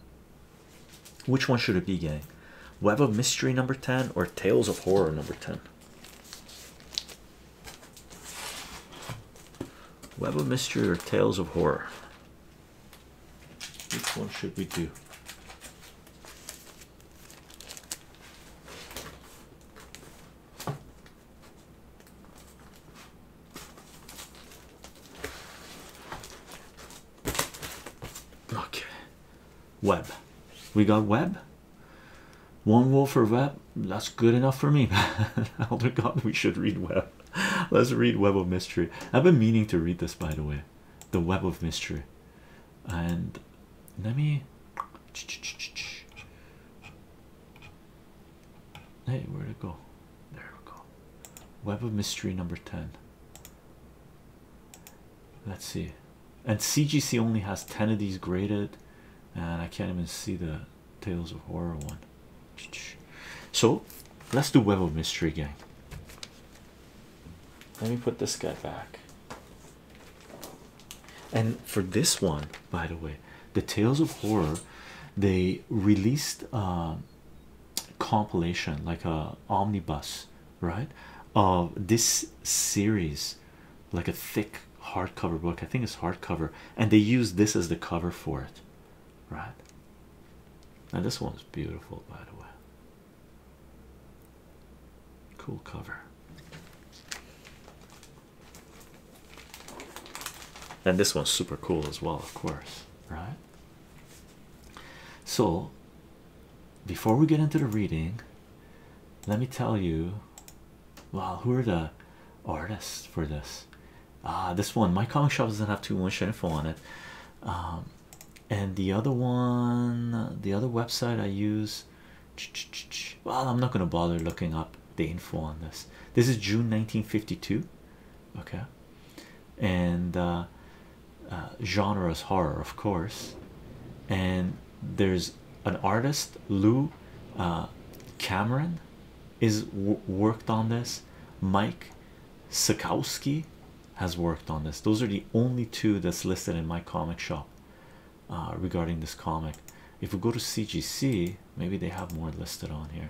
Which one should it be, gang? Web of Mystery number 10 or Tales of Horror number 10? Web of Mystery or Tales of Horror? Which one should we do? Okay, web. We got web. One wolf for web. That's good enough for me, [laughs] man. Elder God, we should read web. Let's read Web of Mystery. I've been meaning to read this, by the way, the Web of Mystery. And let me. Hey, where'd it go? There we go. Web of Mystery number 10. Let's see. And CGC only has 10 of these graded, and I can't even see the Tales of Horror one. [tsk] So let's do Web of Mystery again. Let me put this guy back. And for this one, by the way, the Tales of Horror, they released um, compilation like a omnibus right of this series like a thick hardcover book i think it's hardcover and they use this as the cover for it right Now this one's beautiful by the way cool cover and this one's super cool as well of course right so, before we get into the reading, let me tell you well, who are the artists for this? Ah, this one, my comic shop doesn't have too much info on it. Um, and the other one, the other website I use, well, I'm not going to bother looking up the info on this. This is June 1952 okay and uh, uh genre is horror of course and there's an artist Lou uh, Cameron is worked on this Mike Sikowski has worked on this those are the only two that's listed in my comic shop uh, regarding this comic if we go to CGC maybe they have more listed on here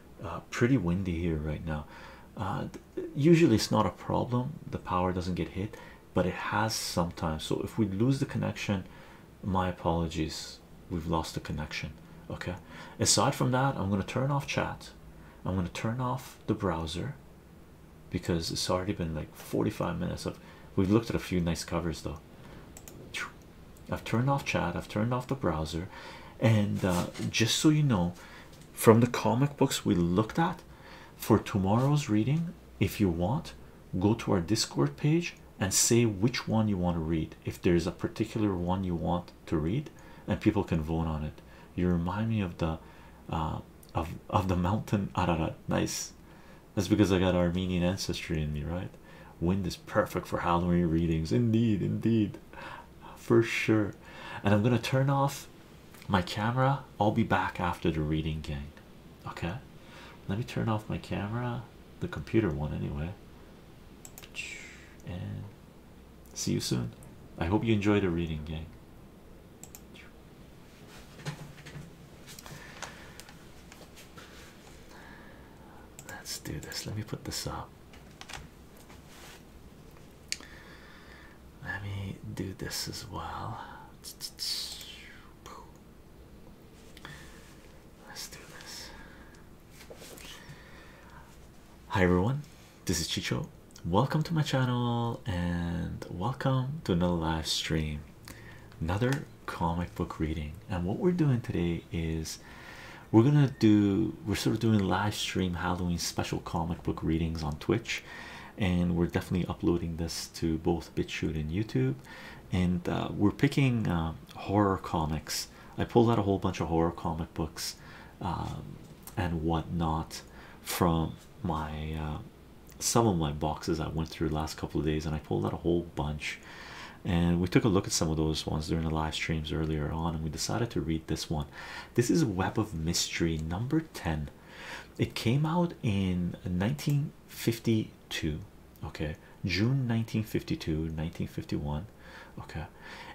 Uh, pretty windy here right now. Uh, usually it's not a problem, the power doesn't get hit, but it has sometimes. So if we lose the connection, my apologies, we've lost the connection. Okay, aside from that, I'm going to turn off chat, I'm going to turn off the browser because it's already been like 45 minutes of we've looked at a few nice covers though. I've turned off chat, I've turned off the browser, and uh, just so you know from the comic books we looked at for tomorrow's reading if you want go to our discord page and say which one you want to read if there's a particular one you want to read and people can vote on it you remind me of the uh, of of the mountain ararat nice that's because i got armenian ancestry in me right wind is perfect for halloween readings indeed indeed for sure. And I'm gonna turn off my camera. I'll be back after the reading, gang. Okay, let me turn off my camera, the computer one anyway. And see you soon. I hope you enjoyed the reading, gang. Let's do this. Let me put this up. Let me do this as well. Let's do this. Hi everyone, this is Chicho. Welcome to my channel and welcome to another live stream, another comic book reading. And what we're doing today is we're gonna do we're sort of doing live stream Halloween special comic book readings on Twitch, and we're definitely uploading this to both BitChute and YouTube. And uh, we're picking um, horror comics. I pulled out a whole bunch of horror comic books um, and whatnot from my uh, some of my boxes I went through last couple of days, and I pulled out a whole bunch. And we took a look at some of those ones during the live streams earlier on, and we decided to read this one. This is Web of Mystery number 10. It came out in 1952, okay, June 1952, 1951. Okay,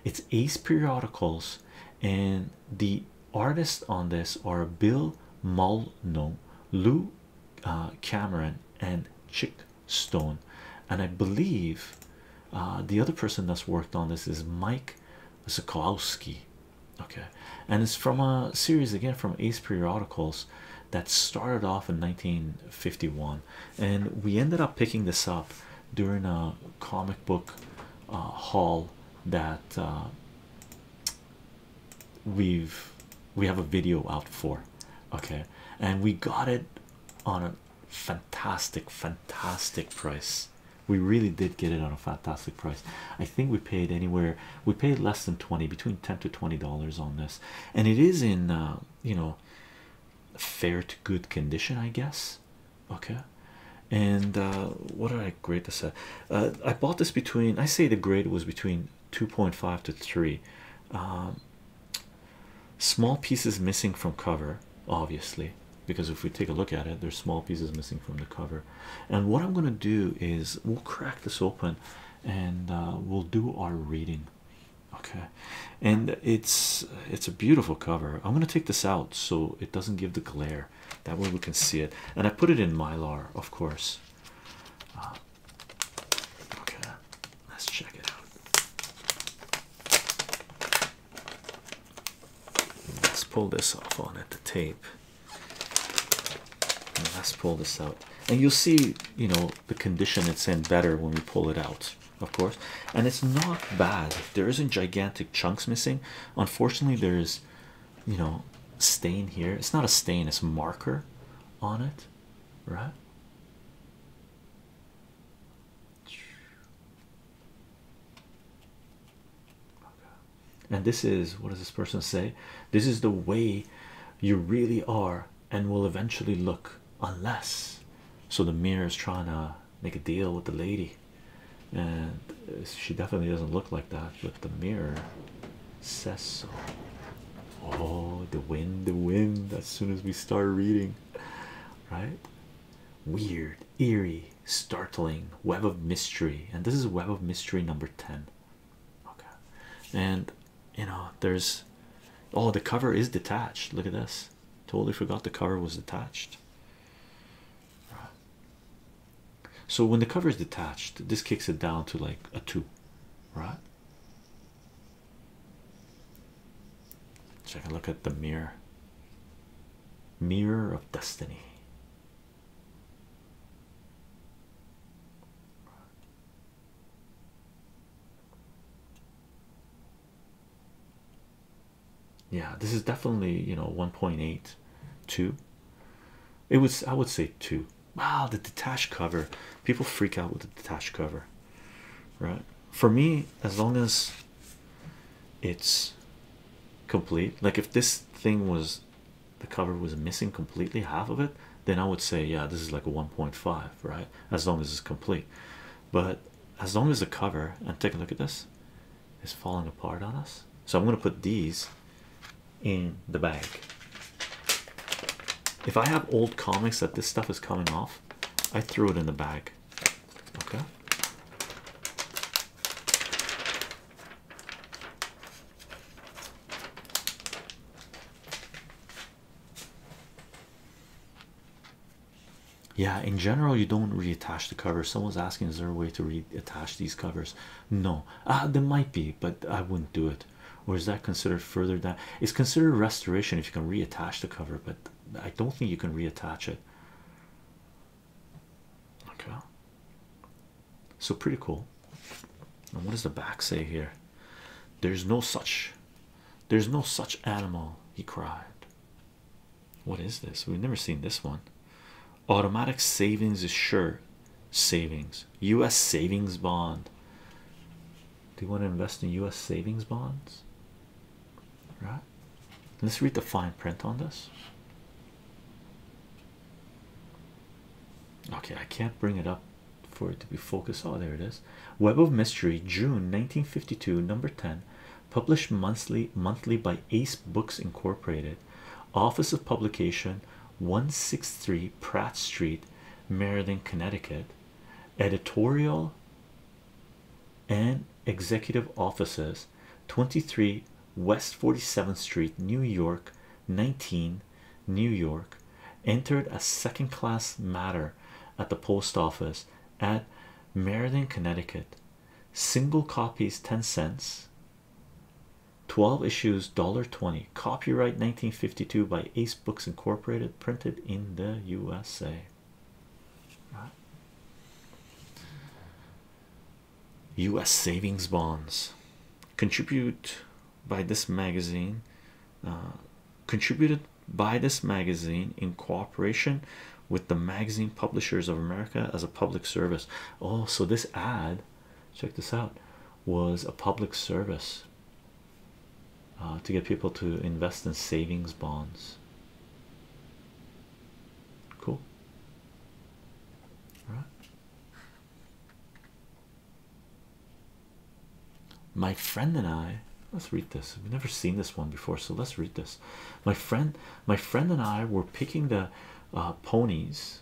it's Ace Periodicals, and the artists on this are Bill Mulno, Lou uh, Cameron, and Chick Stone. And I believe uh, the other person that's worked on this is Mike Zukowski. Okay, and it's from a series again from Ace Periodicals that started off in 1951, and we ended up picking this up during a comic book uh, haul that uh, we've we have a video out for. Okay, and we got it on a fantastic fantastic price we really did get it on a fantastic price i think we paid anywhere we paid less than 20 between 10 to 20 dollars on this and it is in uh, you know fair to good condition i guess okay and uh, what did i grade this at uh, i bought this between i say the grade was between 2.5 to 3 um, Small pieces missing from cover, obviously, because if we take a look at it, there's small pieces missing from the cover. And what I'm going to do is we'll crack this open and uh, we'll do our reading okay and it's it's a beautiful cover i'm going to take this out so it doesn't give the glare that way we can see it and i put it in mylar of course uh, okay let's check it out Let's pull this off on at the tape. let's pull this out, and you'll see, you know, the condition it's in better when we pull it out, of course. And it's not bad there isn't gigantic chunks missing. Unfortunately, there is, you know, stain here. It's not a stain, it's marker on it, right? And this is what does this person say? This is the way you really are and will eventually look, unless so. The mirror is trying to make a deal with the lady, and she definitely doesn't look like that, but the mirror says so. Oh, the wind, the wind, as soon as we start reading, right? weird, eerie, startling web of mystery, and this is web of mystery number 10. Okay, and you know, there's oh, the cover is detached. Look at this, totally forgot the cover was detached. So, when the cover is detached, this kicks it down to like a two, right? Check a look at the mirror. Mirror of Destiny. Yeah, this is definitely you know one point eight, two. It was I would say two. Wow, the detached cover. People freak out with the detached cover. Right? For me, as long as it's complete like if this thing was the cover was missing completely half of it then i would say yeah this is like a 1.5 right as long as it's complete but as long as the cover and take a look at this is falling apart on us so i'm going to put these in the bag if i have old comics that this stuff is coming off i throw it in the bag yeah, in general, you don't reattach the cover. Someone's asking, is there a way to reattach these covers? No, ah, there might be, but I wouldn't do it. Or is that considered further down? It's considered restoration if you can reattach the cover, but I don't think you can reattach it. Okay, so pretty cool. And what does the back say here? There's no such, there's no such animal, he cried. What is this? We've never seen this one. Automatic savings is sure savings, US savings bond. Do you want to invest in US savings bonds? right? Let's read the fine print on this. Okay, I can't bring it up for it to be focused. Oh, there it is. Web of Mystery, June 1952, number 10, published monthly monthly by Ace Books Incorporated, Office of Publication, 163 Pratt Street, Meriden, Connecticut. Editorial and executive offices 23 West 47th Street, New York, 19, New York, entered a second class matter at the post office at Meriden, Connecticut. Single copies 10 cents. 12 issues dollar twenty. Copyright 1952 by Ace Books Incorporated, printed in the USA. U.S. savings bonds contribute by this magazine uh, contributed by this magazine in cooperation with the magazine publishers of America as a public service. Oh, so this ad, check this out, was a public service uh, to get people to invest in savings bonds. Cool. All right. My friend and I let's read this. We've never seen this one before, so let's read this. My friend, my friend and I were picking the uh, ponies.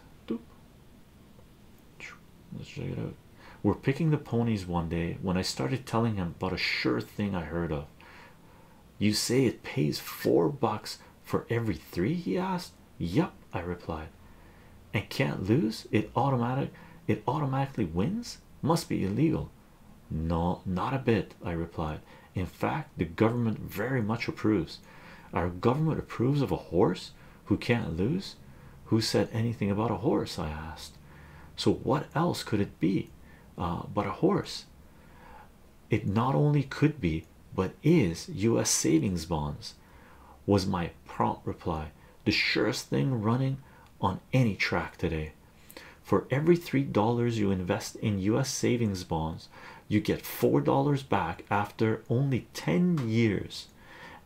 Let's check it out. We're picking the ponies one day when I started telling him about a sure thing I heard of. You say it pays four bucks for every three? He asked. Yep, I replied. And can't lose it automatic it automatically wins must be illegal. No, not a bit, I replied. In fact, the government very much approves. Our government approves of a horse who can't lose. Who said anything about a horse? I asked. So, what else could it be uh, but a horse? it not only could be but is US savings bonds was my prompt reply the surest thing running on any track today for every three dollars you invest in US savings bonds you get four dollars back after only 10 years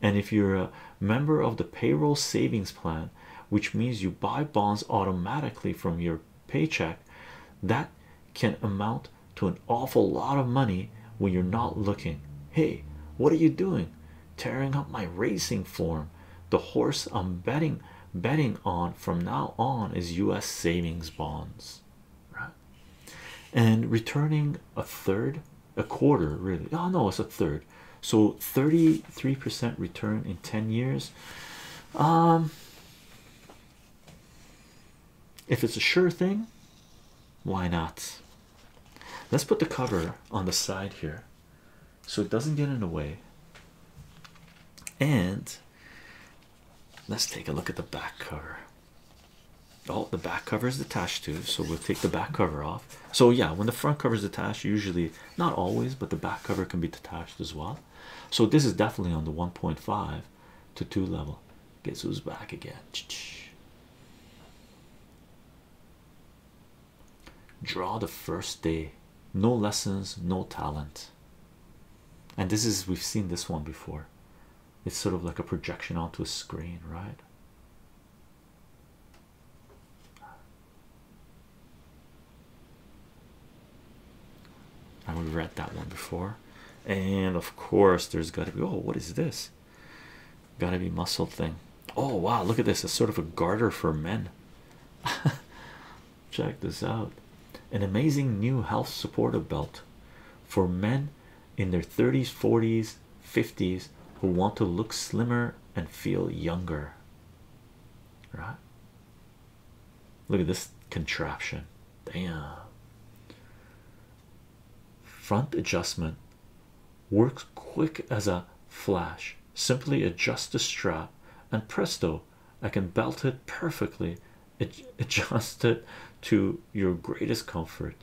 and if you're a member of the payroll savings plan which means you buy bonds automatically from your paycheck that can amount to an awful lot of money when you're not looking. Hey, what are you doing? Tearing up my racing form. The horse I'm betting betting on from now on is US savings bonds. Right? And returning a third, a quarter really. Oh no, it's a third. So 33% return in 10 years. Um if it's a sure thing, why not? Let's put the cover on the side here so it doesn't get in the way. And let's take a look at the back cover. Oh, the back cover is detached too, so we'll take the back cover off. So, yeah, when the front cover is detached, usually not always, but the back cover can be detached as well. So this is definitely on the 1.5 to 2 level. Guess who's back again? Draw the first day. No lessons, no talent. And this is we've seen this one before. It's sort of like a projection onto a screen, right? and we've read that one before and of course there's got to be oh what is this got to be muscle thing oh wow look at this it's sort of a garter for men [laughs] check this out an amazing new health supportive belt for men in their 30s 40s 50s who want to look slimmer and feel younger right Look at this contraption. Damn. Front adjustment works quick as a flash. Simply adjust the strap, and presto, I can belt it perfectly. Ad [laughs] adjust it to your greatest comfort.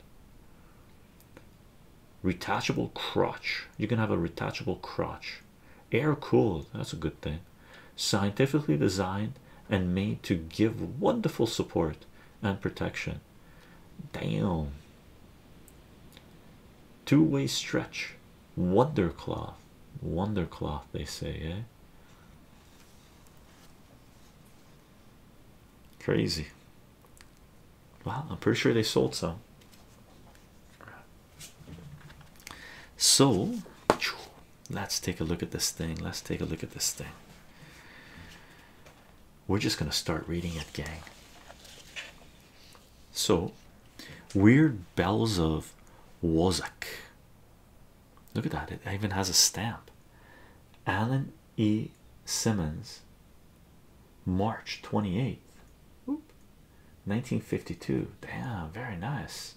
Retachable crotch. You can have a retachable crotch air cooled that's a good thing scientifically designed and made to give wonderful support and protection damn two-way stretch wonder cloth wonder cloth they say eh crazy wow i'm pretty sure they sold some so Let's take a look at this thing. Let's take a look at this thing. We're just going to start reading it, gang. So, Weird Bells of Wozzeck. Look at that, it even has a stamp. Alan E. Simmons, March 28th, 1952. Damn, very nice.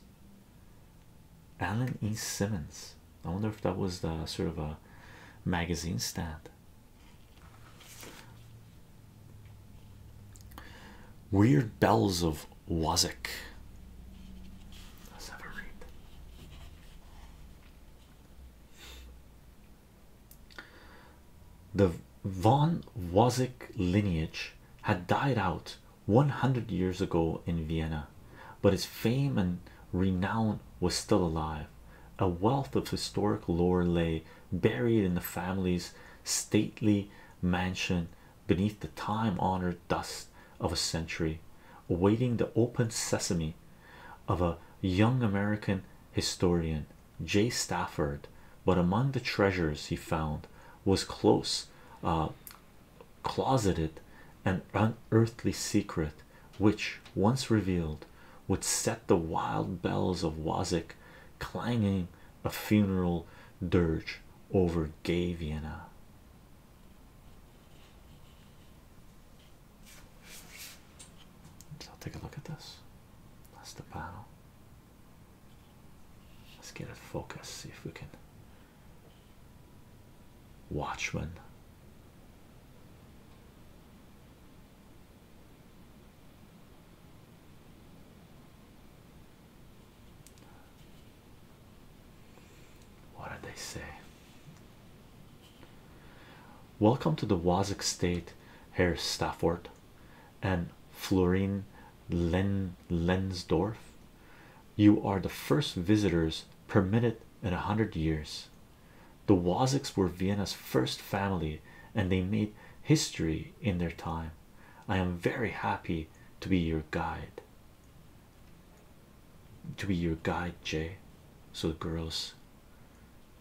Alan E. Simmons. I wonder if that was the sort of a magazine stand. Weird Bells of Wazik. Let's have a read. The Von Wazik lineage had died out 100 years ago in Vienna, but his fame and renown was still alive. A wealth of historic lore lay buried in the family's stately mansion beneath the time honored dust of a century, awaiting the open sesame of a young American historian, J. Stafford. But among the treasures he found was close uh, closeted an unearthly secret which once revealed would set the wild bells of Wazik clanging a funeral dirge over gay Vienna. So I'll take a look at this. That's the panel. Let's get it focus. see if we can Watchmen. What did they say? Welcome to the Wazik State, Herr Stafford and Florine Lenzdorf. You are the first visitors permitted in a hundred years. The Waziks were Vienna's first family and they made history in their time. I am very happy to be your guide. To be your guide, Jay. So the girl's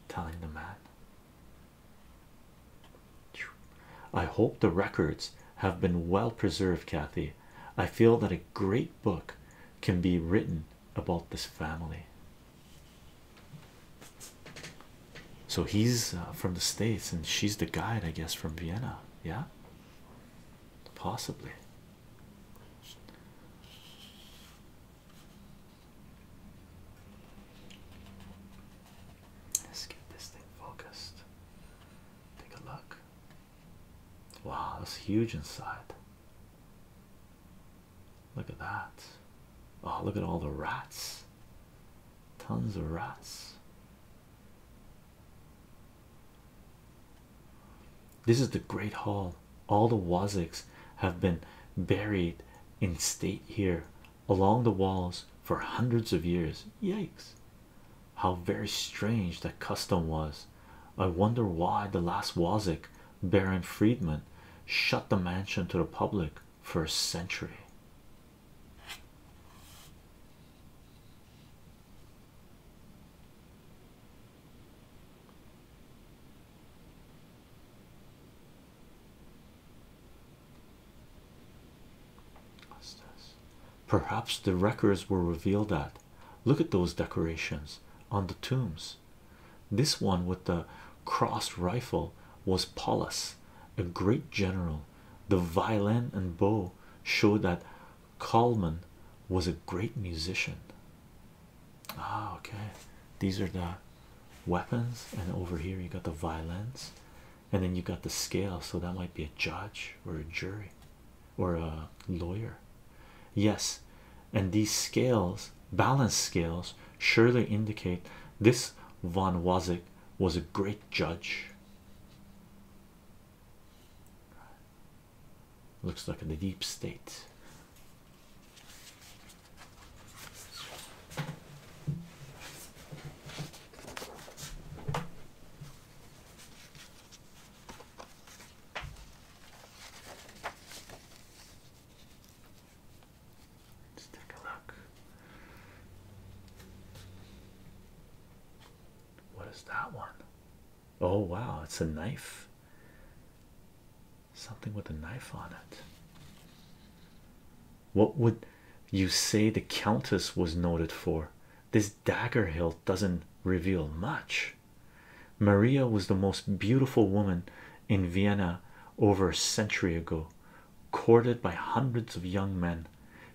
telling the man. I hope the records have been well preserved, Kathy. I feel that a great book can be written about this family. So he's uh, from the States and she's the guide, I guess, from Vienna. Yeah, possibly. Let's get this thing focused. Take a look. Wow, that's huge inside. Look at that. Oh, look at all the rats. Tons of rats. This is the Great Hall. All the Waziks have been buried in state here along the walls for hundreds of years. Yikes. How very strange that custom was. I wonder why the last Wazik, Baron Friedman, shut the mansion to the public for a century. Perhaps the records were revealed at. Look at those decorations on the tombs. This one with the crossed rifle was Paulus, a great general. The violin and bow show that Kalman was a great musician. Ah, okay. These are the weapons, and over here you got the violins, and then you got the scale, so that might be a judge or a jury or a lawyer. Yes, and these scales, balance scales, surely indicate this von Wozzeck was a great judge. Looks like in the deep state. Let's take a look. What is that one? Oh, wow, it's a knife. Something with a knife on it. What would you say the Countess was noted for? This dagger hilt doesn't reveal much. Maria was the most beautiful woman in Vienna over a century ago, courted by hundreds of young men.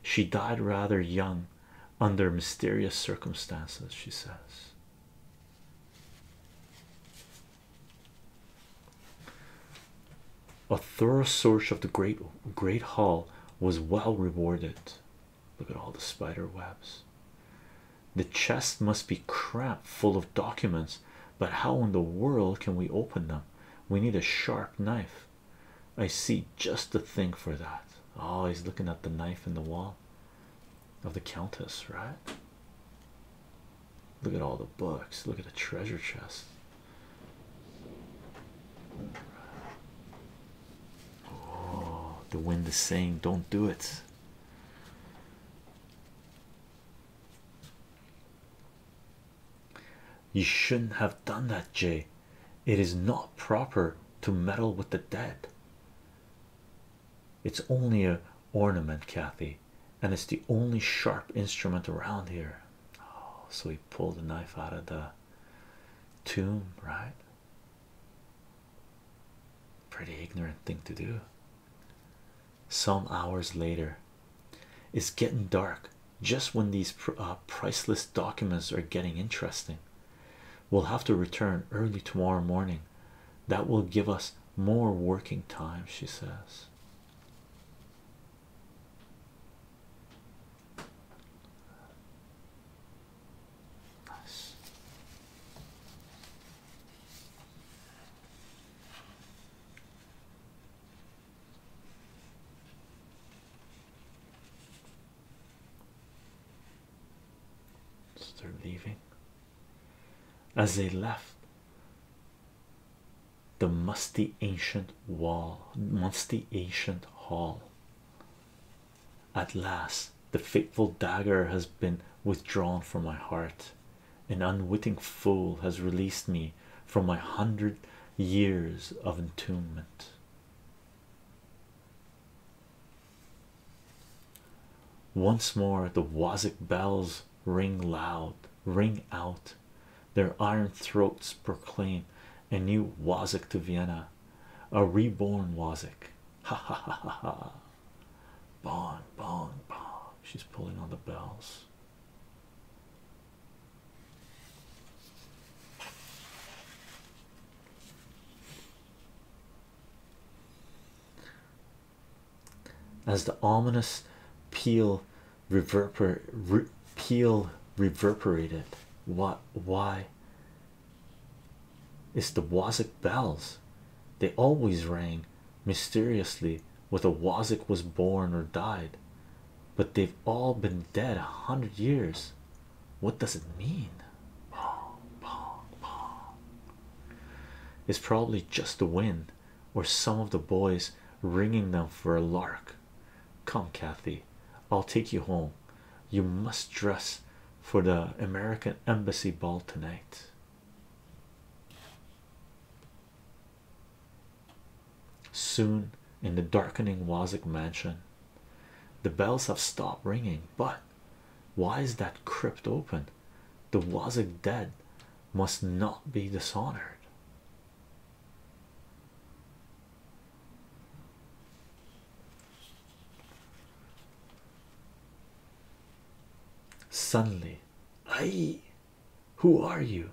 She died rather young under mysterious circumstances, she says. A thorough search of the great great hall was well rewarded. Look at all the spider webs. The chest must be crap full of documents, but how in the world can we open them? We need a sharp knife. I see just the thing for that. Oh, he's looking at the knife in the wall of the Countess, right? Look at all the books, look at the treasure chest. Oh, the wind is saying, Don't do it. You shouldn't have done that, Jay. It is not proper to meddle with the dead. It's only a ornament, Kathy, and it's the only sharp instrument around here. Oh, so he pulled the knife out of the tomb, right? Pretty ignorant thing to do. Some hours later, it's getting dark just when these uh, priceless documents are getting interesting. We'll have to return early tomorrow morning, that will give us more working time, she says they're leaving. As they left, the musty ancient wall, musty ancient hall at last, the fateful dagger has been withdrawn from my heart. An unwitting fool has released me from my hundred years of entombment. Once more, the Wazik bells ring loud, ring out. Their iron throats proclaim a new Wazik to Vienna, a reborn Wazik. Ha ha ha ha ha. Bon, bon, bon. She's pulling on the bells. As the ominous peal reverber peal reverberated, what? Why? It's the Wazik bells. They always rang mysteriously whether Wazik was born or died, but they've all been dead a hundred years. What does it mean? It's probably just the wind or some of the boys ringing them for a lark. Come, Kathy, I'll take you home you must dress for the American Embassy ball tonight. Soon, in the darkening Wazik mansion, the bells have stopped ringing. But why is that crypt open? The Wazik dead must not be dishonored. Suddenly, I who are you?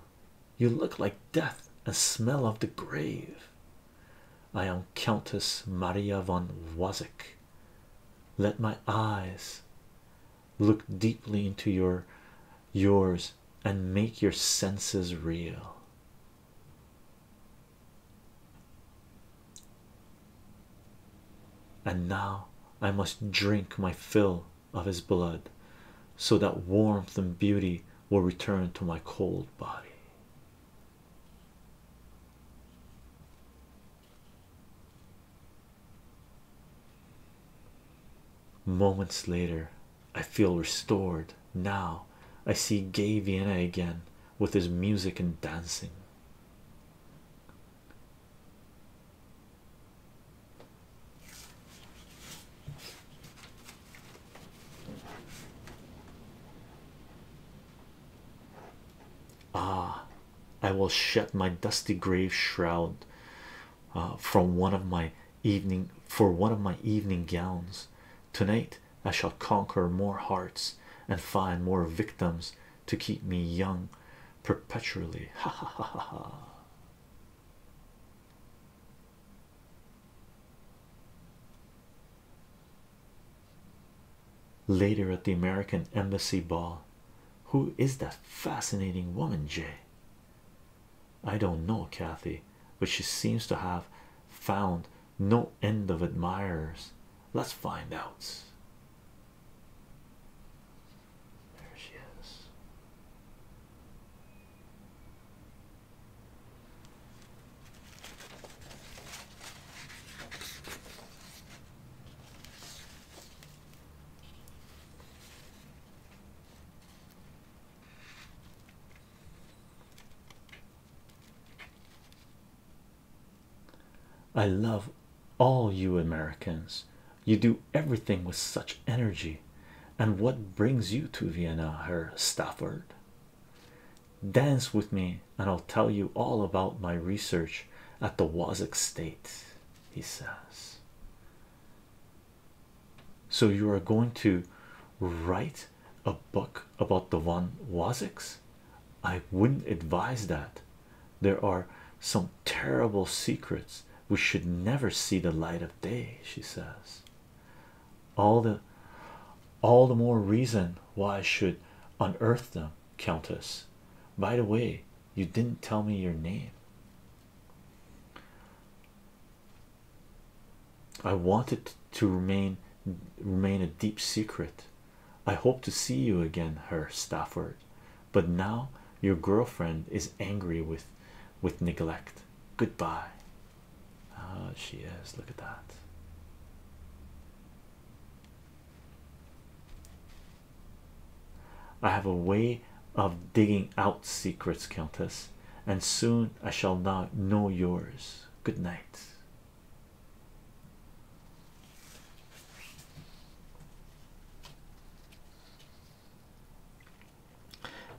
You look like death and smell of the grave. I am Countess Maria von Wozek. Let my eyes look deeply into your yours and make your senses real. And now I must drink my fill of his blood so that warmth and beauty will return to my cold body. Moments later, I feel restored. Now I see Gay Vienna again with his music and dancing. Ah, I will shed my dusty grave shroud uh, from one of my evening for one of my evening gowns tonight. I shall conquer more hearts and find more victims to keep me young perpetually. [laughs] Ha ha ha ha ha. Later at the American Embassy Ball, who is that fascinating woman, Jay? I don't know, Kathy, but she seems to have found no end of admirers. Let's find out. There she is. I love all you Americans. You do everything with such energy. And what brings you to Vienna, Herr Stafford? Dance with me, and I'll tell you all about my research at the Wazic State, he says. So, you are going to write a book about the Van Waziks? I wouldn't advise that. There are some terrible secrets which should never see the light of day, she says. All the all the more reason why I should unearth them, Countess. By the way, you didn't tell me your name. I wanted to remain remain a deep secret I hope to see you again, Herr Stafford, but now your girlfriend is angry with with neglect. Goodbye. Ah, she is. Look at that. I have a way of digging out secrets, Countess, and soon I shall not know yours. Good night.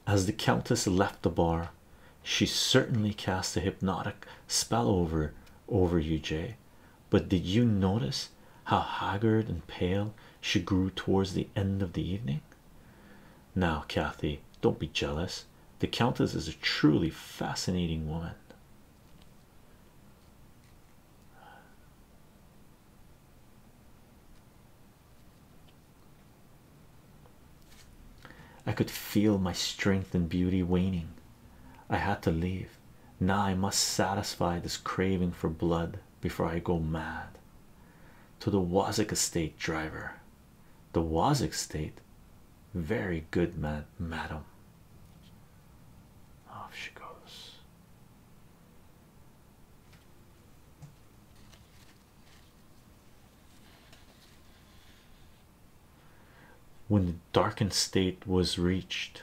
As the countess left the bar, she certainly cast a hypnotic spell over over you, Jay. But did you notice how haggard and pale she grew towards the end of the evening? Now, Kathy, don't be jealous. The countess is a truly fascinating woman. I could feel my strength and beauty waning. I had to leave. Now I must satisfy this craving for blood before I go mad. To the Wazik estate driver. The Wazik estate. Very good, madam. Off she goes. When the darkened state was reached,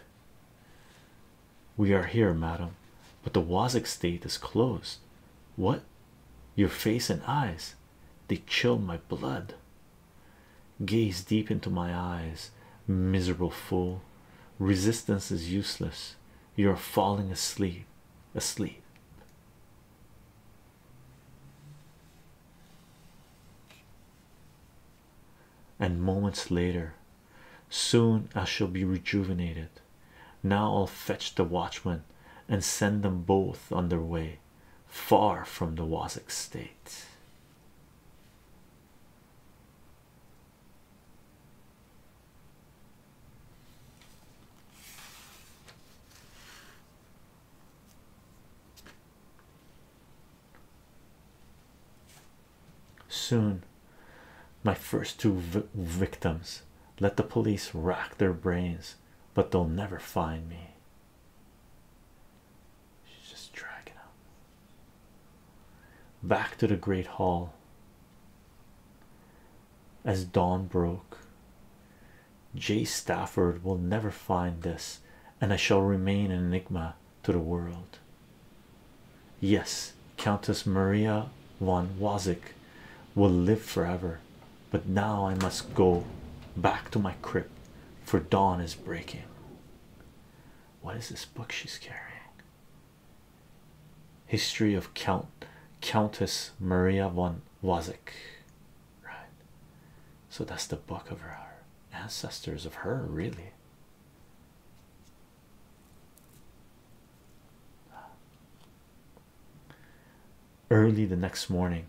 we are here, madam, but the Wazik state is closed. What? Your face and eyes, they chill my blood. Gaze deep into my eyes, miserable fool. Resistance is useless. You're falling asleep. Asleep. And moments later, soon I shall be rejuvenated. Now I'll fetch the watchmen and send them both on their way far from the Wasik state. Soon, my first two victims let the police rack their brains, but they'll never find me. She's just dragging up. Back to the great hall. As dawn broke, J. Stafford will never find this, and I shall remain an enigma to the world. Yes, Countess Maria von Wazik will live forever, but now I must go back to my crypt for dawn is breaking. What is this book she's carrying? History of Count Countess Maria von Wazik. Right. So that's the book of her ancestors of her really. Early the next morning,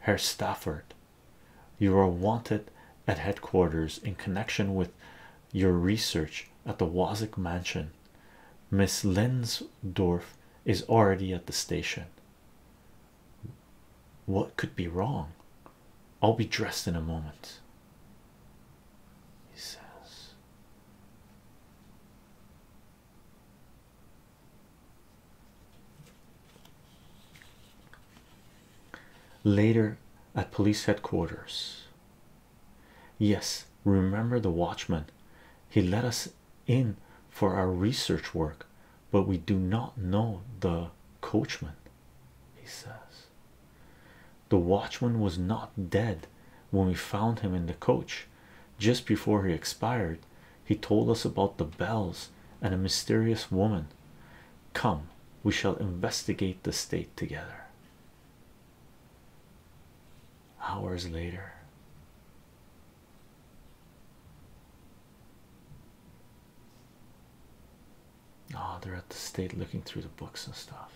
Herr Stafford you are wanted at headquarters in connection with your research at the Wazick Mansion. Miss Lensdorf is already at the station. What could be wrong? I'll be dressed in a moment. He says, Later at police headquarters. Yes, remember the watchman. He let us in for our research work, but we do not know the coachman, he says. The watchman was not dead when we found him in the coach. Just before he expired, he told us about the bells and a mysterious woman. Come, we shall investigate the state together. Hours later, oh, they're at the state looking through the books and stuff.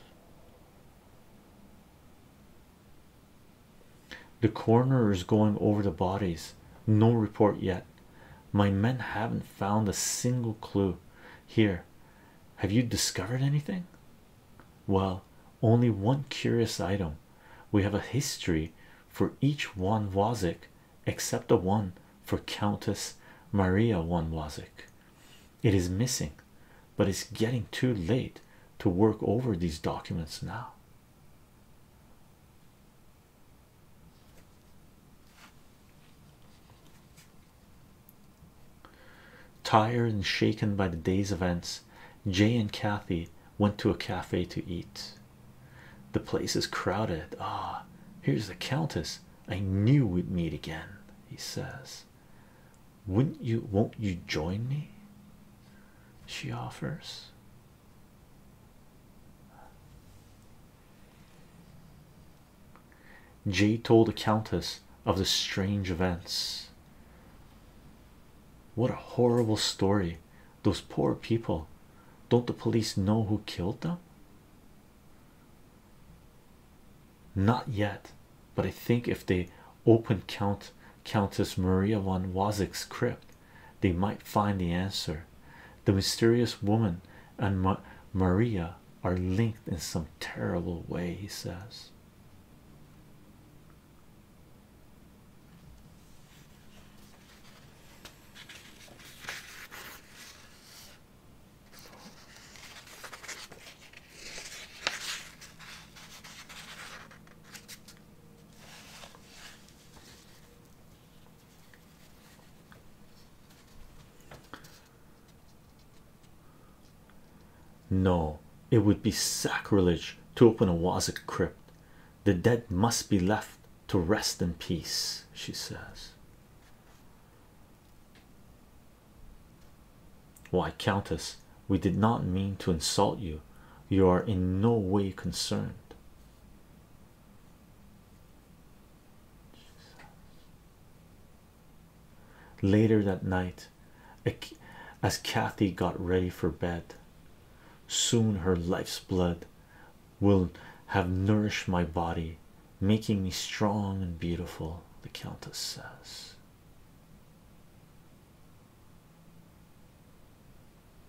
The coroner is going over the bodies, no report yet. My men haven't found a single clue here. Have you discovered anything? Well, only one curious item. We have a history for each one Wozik except the one for Countess Maria one Wozik. It is missing, but it's getting too late to work over these documents now. Tired and shaken by the day's events, Jay and Kathy went to a cafe to eat. The place is crowded. Ah, here's the Countess. I knew we'd meet again, he says. Wouldn't you? Won't you join me? She offers. J told the Countess of the strange events. What a horrible story! Those poor people. Don't the police know who killed them? Not yet, but I think if they open Count Countess Maria von Wasik's crypt, they might find the answer. The mysterious woman and Maria are linked in some terrible way, he says. No, it would be sacrilege to open a Wazic crypt. The dead must be left to rest in peace, she says. Why, Countess, we did not mean to insult you. You are in no way concerned. Later that night, as Kathy got ready for bed, soon her life's blood will have nourished my body, making me strong and beautiful, the Countess says.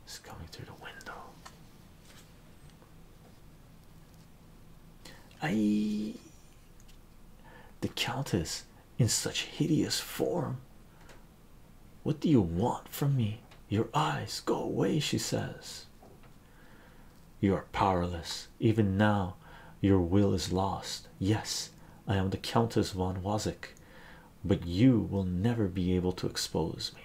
It's coming through the window. I the Countess in such hideous form. What do you want from me? Your eyes go away, she says. You are powerless, even now. Your will is lost. Yes, I am the Countess von Wazik, but you will never be able to expose me.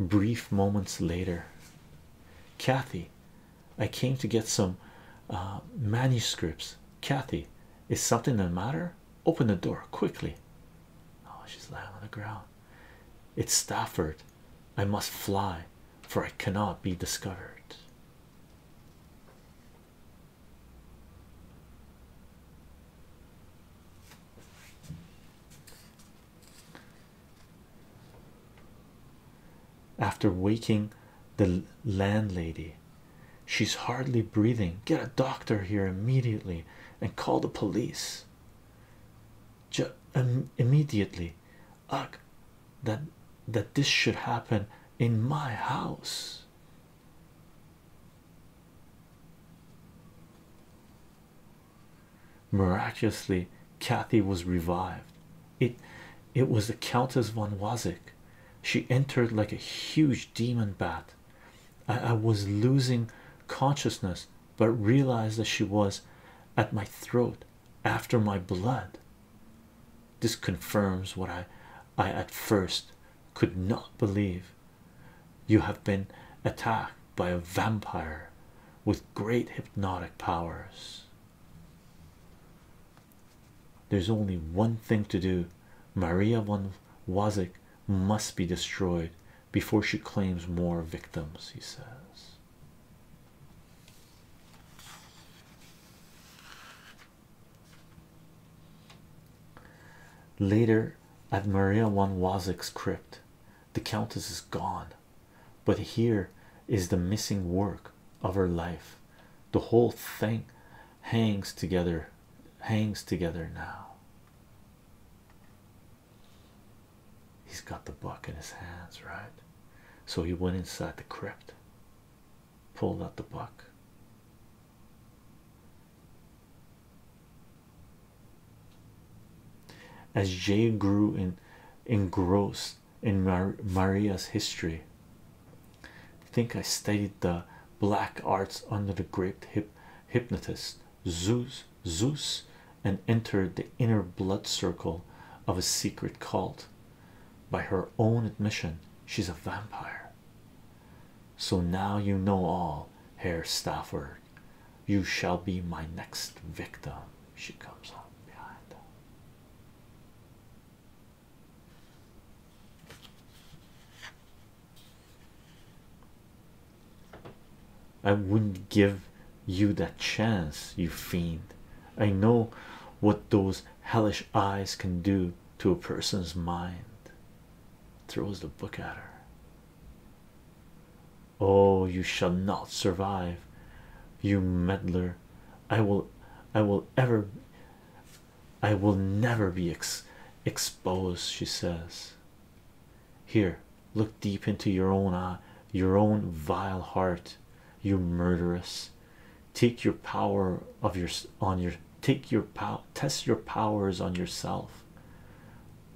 Brief moments later, Kathy, I came to get some uh, manuscripts. Kathy, is something the matter? Open the door quickly. Oh, she's lying on the ground. It's Stafford. I must fly for I cannot be discovered. After waking the landlady, she's hardly breathing. Get a doctor here immediately and call the police. immediately, ugh that that this should happen in my house miraculously kathy was revived it it was the countess von wazik she entered like a huge demon bat I, I was losing consciousness but realized that she was at my throat after my blood this confirms what I I at first could not believe. You have been attacked by a vampire with great hypnotic powers. There's only one thing to do. Maria von Wazik must be destroyed before she claims more victims, he says. Later, at Maria von Wozek's crypt, the Countess is gone, but here is the missing work of her life. The whole thing hangs together, hangs together now. He's got the book in his hands, right? So he went inside the crypt pulled out the buck. As Jay grew engrossed in Maria's history, think I studied the black arts under the great hypnotist Zeus Zeus and entered the inner blood circle of a secret cult by her own admission, she's a vampire. So now you know all, Herr Stafford. You shall be my next victim. She comes up behind. Them. I wouldn't give you that chance, you fiend. I know what those hellish eyes can do to a person's mind. Throws the book at her. Oh, you shall not survive, you meddler. I will, I will ever, I will never be ex exposed, she says. Here, look deep into your own eye, your own vile heart, you murderess take your power of your on your take your power test your powers on yourself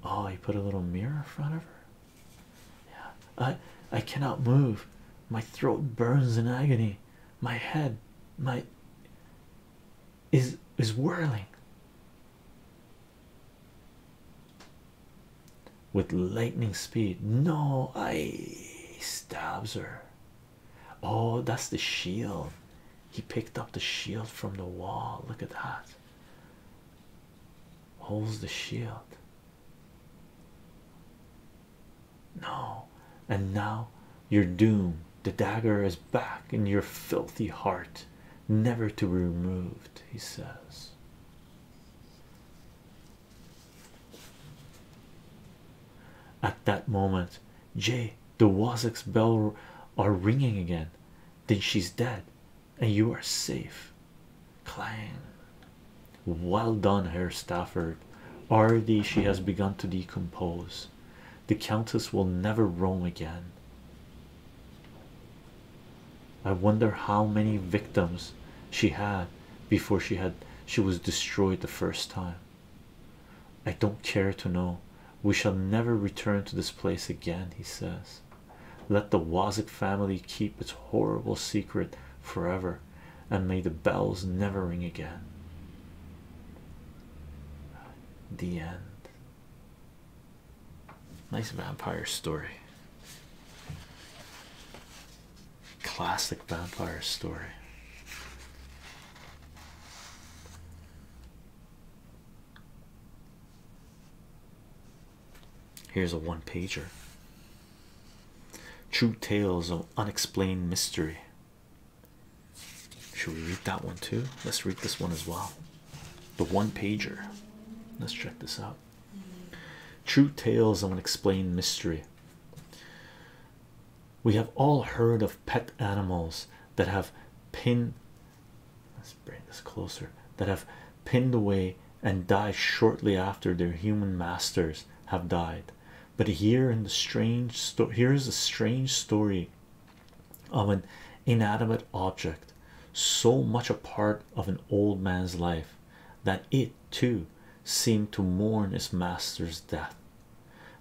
oh he put a little mirror in front of her yeah i i cannot move my throat burns in agony my head my is is whirling with lightning speed. No, I stabs her. Oh, that's the shield. He picked up the shield from the wall. Look at that. Holds the shield. No, and now your doom. The dagger is back in your filthy heart, never to be removed, he says. At that moment, Jay, the Wasek's bell are ringing again. Then she's dead, and you are safe. Clang. Well done, Herr Stafford. Already she has begun to decompose. The Countess will never roam again. I wonder how many victims she had before she had she was destroyed the first time. I don't care to know. We shall never return to this place again, he says. Let the Wazik family keep its horrible secret forever, and may the bells never ring again. The end. Nice vampire story. Classic vampire story. Here's a one pager True Tales of Unexplained Mystery. Should we read that one too? Let's read this one as well. The one pager. Let's check this out. True Tales of Unexplained Mystery we have all heard of pet animals that have pinned let's bring this closer that have pinned away and died shortly after their human masters have died. But here in the strange here is a strange story of an inanimate object so much a part of an old man's life that it it too seemed to mourn its master's death.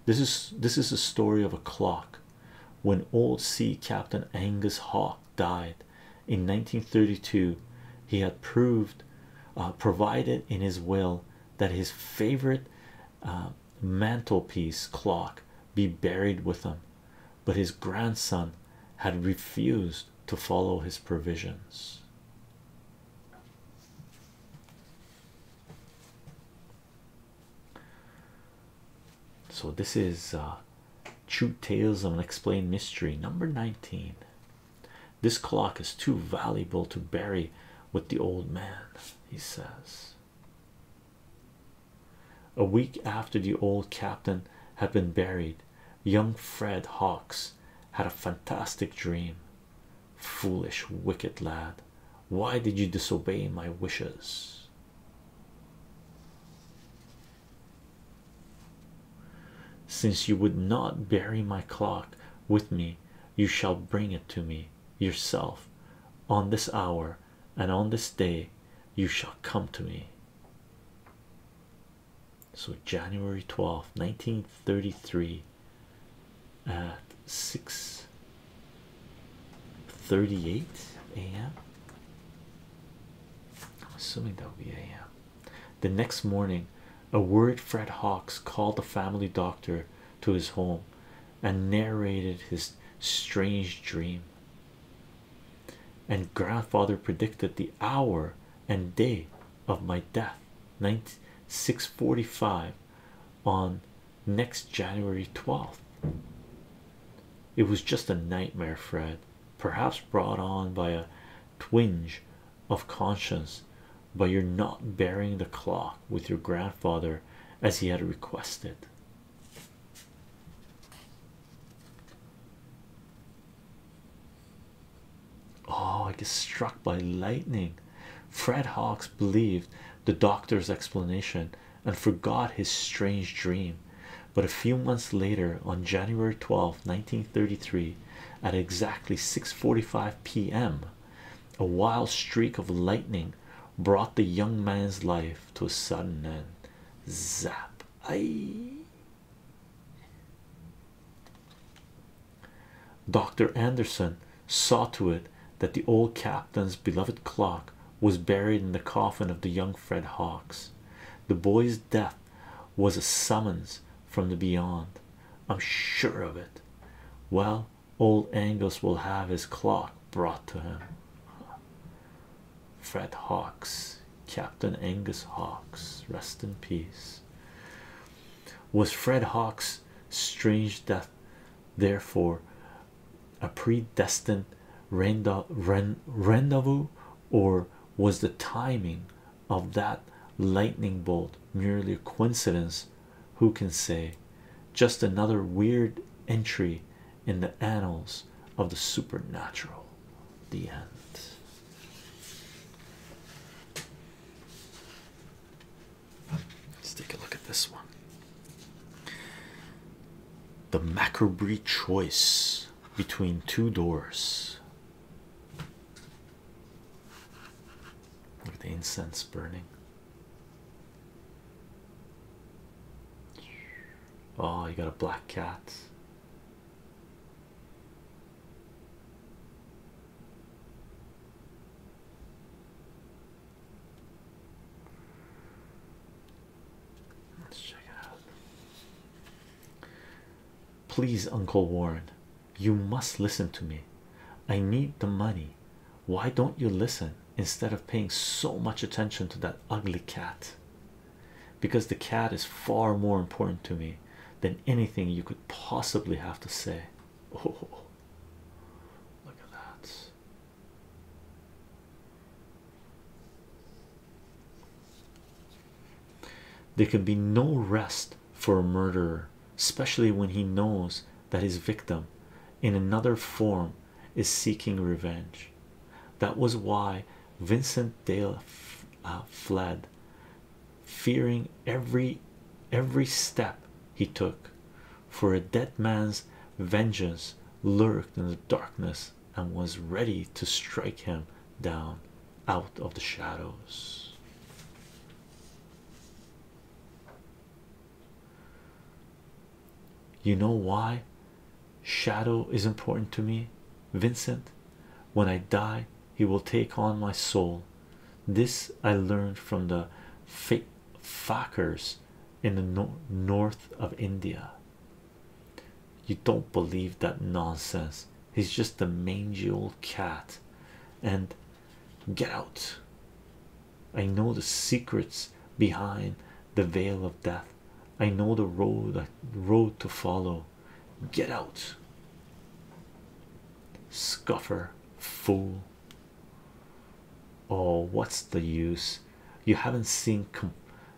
This is this is a story of a clock. When old sea captain Angus Hawke died in 1932, he had proved uh, provided in his will that his favorite uh, mantelpiece clock be buried with him, but his grandson had refused to follow his provisions. So this is uh, True Tales of an Explained Mystery, number 19. This clock is too valuable to bury with the old man, he says. A week after the old captain had been buried, young Fred Hawkes had a fantastic dream. Foolish, wicked lad, why did you disobey my wishes? Since you would not bury my clock with me, you shall bring it to me yourself on this hour and on this day. You shall come to me so January 12th 1933 at six thirty-eight a.m. I'm assuming that would be a.m. The next morning, a worried Fred Hawks called the family doctor to his home and narrated his strange dream. And grandfather predicted the hour and day of my death 645 on next January 12th. It was just a nightmare, Fred, perhaps brought on by a twinge of conscience by your not bearing the clock with your grandfather as he had requested. Oh, I was struck by lightning. Fred Hawks believed the doctor's explanation and forgot his strange dream. But a few months later, on January twelfth, 1933, at exactly 6:45 p.m., a wild streak of lightning brought the young man's life to a sudden end. Zap! I Dr. Anderson saw to it that the old captain's beloved clock was buried in the coffin of the young Fred Hawks. The boy's death was a summons from the beyond. I'm sure of it. Well, old Angus will have his clock brought to him. Fred Hawks, Captain Angus Hawks, rest in peace. Was Fred Hawkes' strange death, therefore, a predestined rendezvous, or was the timing of that lightning bolt merely a coincidence? Who can say? Just another weird entry in the annals of the supernatural. The end. Let's take a look at this one. The Macabre choice between two doors. Look at the incense burning. Oh, you got a black cat. Let's check it out. Please, Uncle Warren, you must listen to me. I need the money. Why don't you listen instead of paying so much attention to that ugly cat? Because the cat is far more important to me than anything you could possibly have to say. Oh, [laughs] look at that. There can be no rest for a murderer, especially when he knows that his victim, in another form, is seeking revenge. That was why Vincent Dale uh, fled fearing every every step he took, for a dead man's vengeance lurked in the darkness and was ready to strike him down out of the shadows. You know why shadow is important to me, Vincent? When I die, he will take on my soul. This I learned from the fake in the north of India. You don't believe that nonsense. He's just a mangy old cat. And get out. I know the secrets behind the veil of death. I know the road, road to follow. Get out. Scuffer, fool. Oh, what's the use? You haven't seen,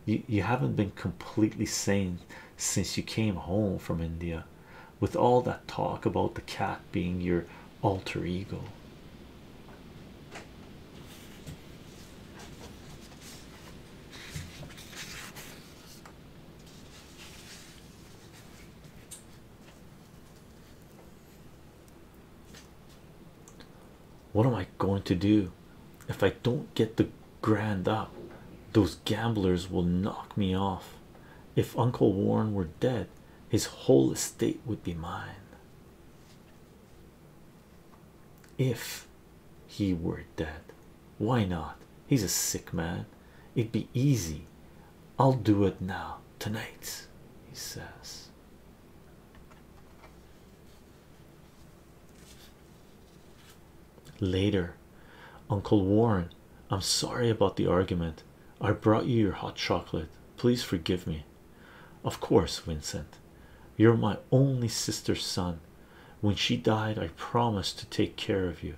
you, you haven't been completely sane since you came home from India with all that talk about the cat being your alter ego. What am I going to do if I don't get the grand up? Those gamblers will knock me off. If Uncle Warren were dead, his whole estate would be mine. If he were dead, why not? He's a sick man, It'd be easy. I'll do it now tonight, he says. Later, Uncle Warren, I'm sorry about the argument. I brought you your hot chocolate. Please forgive me. Of course, Vincent. You're my only sister's son. When she died, I promised to take care of you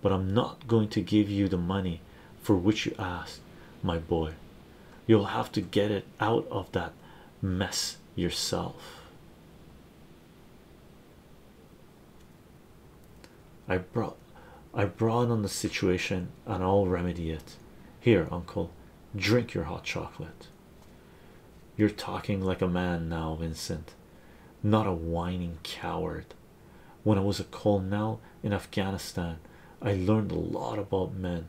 but I'm not going to give you the money for which you ask, my boy. You'll have to get it out of that mess yourself. I brought I brought on the situation and I'll remedy it. Here, uncle, drink your hot chocolate. You're talking like a man now, Vincent, not a whining coward when I was a colonel in Afghanistan. I learned a lot about men.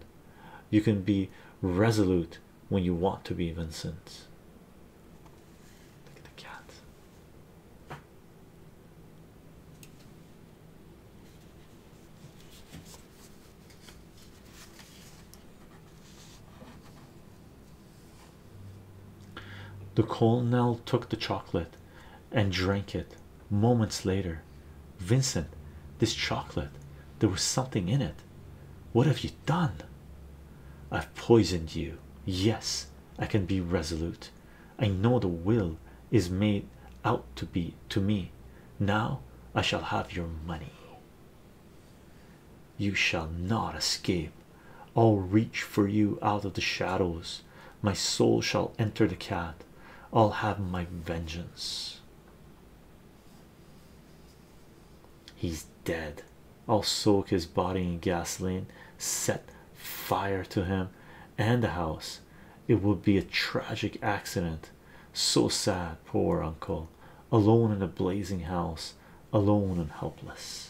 You can be resolute when you want to be, Vincent. Look at the cat. The colonel took the chocolate and drank it. Moments later, Vincent, this chocolate, there was something in it. What have you done? I've poisoned you. Yes, I can be resolute. I know the will is made out to be to me. Now I shall have your money. You shall not escape. I'll reach for you out of the shadows. My soul shall enter the cat. I'll have my vengeance. He's dead. I'll soak his body in gasoline, set fire to him and the house. It will be a tragic accident. So sad, poor uncle, alone in a blazing house, alone and helpless.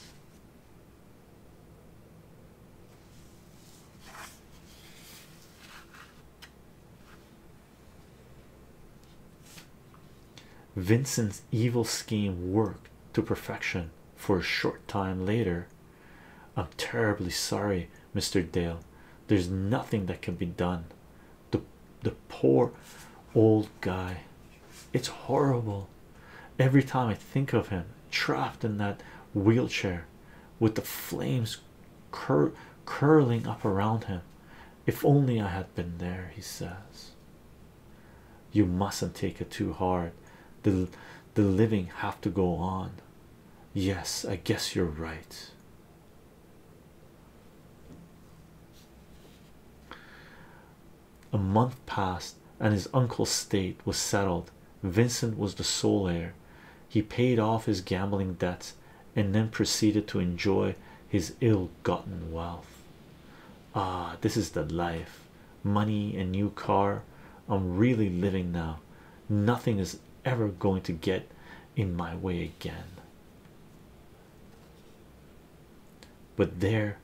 Vincent's evil scheme worked to perfection for a short time later. I'm terribly sorry, Mr. Dale. There's nothing that can be done. The the poor old guy. It's horrible. Every time I think of him, trapped in that wheelchair with the flames cur curling up around him. If only I had been there, he says. You mustn't take it too hard. The, the living have to go on. Yes, I guess you're right. A month passed, and his uncle's state was settled vincent was the sole heir he paid off his gambling debts and then proceeded to enjoy his ill-gotten wealth ah this is the life money and new car i'm really living now nothing is ever going to get in my way again but there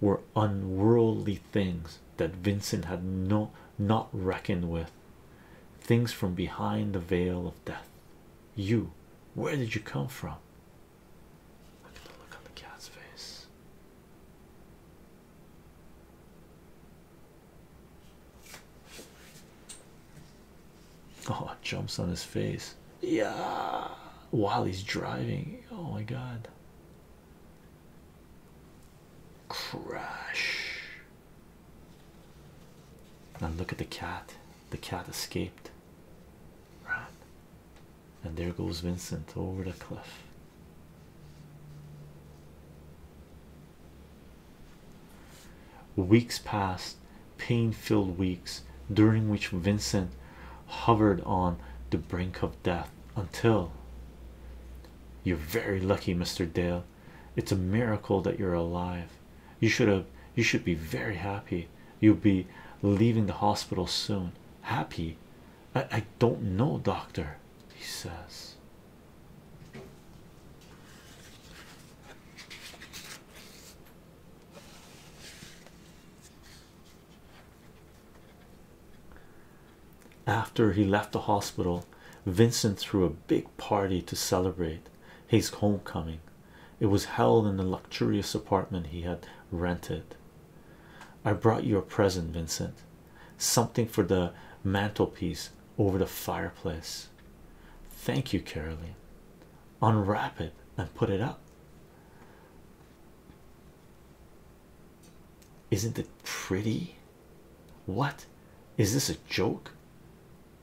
were unworldly things that vincent had not reckoned with things from behind the veil of death. You, where did you come from? Look at the look on the cat's face. Oh, it jumps on his face. Yeah, while he's driving. Oh my god. Crash. And look at the cat. The cat escaped. Right. And there goes Vincent over the cliff. Weeks passed, pain filled weeks, during which Vincent hovered on the brink of death until you're very lucky, Mr. Dale. It's a miracle that you're alive. You should have you should be very happy. You'll be leaving the hospital soon. Happy? I, I don't know, doctor, he says. After he left the hospital, Vincent threw a big party to celebrate his homecoming. It was held in the luxurious apartment he had rented. I brought you a present, Vincent something for the mantelpiece over the fireplace. Thank you, Caroline. Unwrap it and put it up. Isn't it pretty? What is this a joke?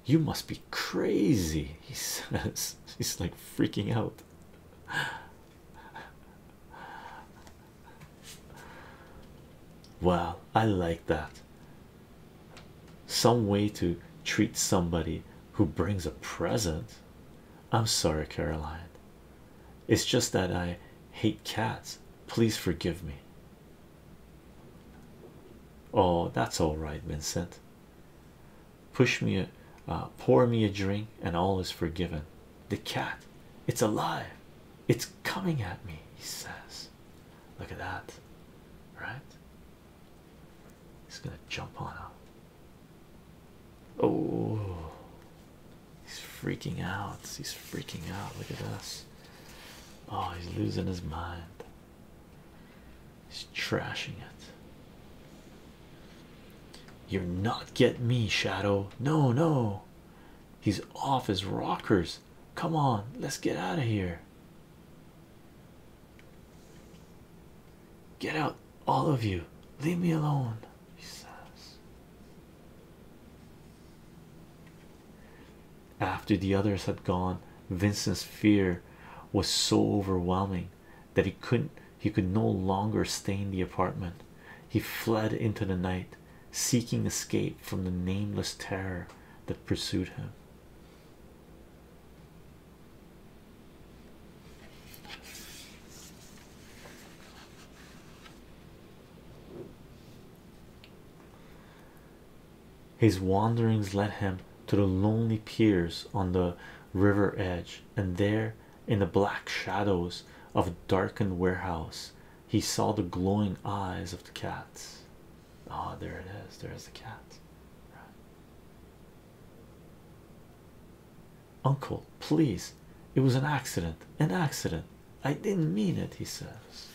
You must be crazy, he [laughs] says. He's like freaking out. Well, I like that. Some way to treat somebody who brings a present. I'm sorry, Caroline. It's just that I hate cats. Please forgive me. Oh, that's all right, Vincent. Push me, a, uh, pour me a drink, and all is forgiven. The cat, it's alive, it's coming at me, he says. Look at that, right? He's gonna jump on us. Oh, he's freaking out. He's freaking out. Look at this. Oh, he's losing his mind. He's trashing it. You're not get me, Shadow. No, no. He's off his rockers. Come on, let's get out of here. Get out, all of you. Leave me alone, after the others had gone, Vincent's fear was so overwhelming that he couldn't he could no longer stay in the apartment. He fled into the night, seeking escape from the nameless terror that pursued him. His wanderings led him to the lonely piers on the river edge, and there, in the black shadows of a darkened warehouse, he saw the glowing eyes of the cats. Ah, there it is. There's the cat. Uncle, please. It was an accident. An accident. I didn't mean it, he says.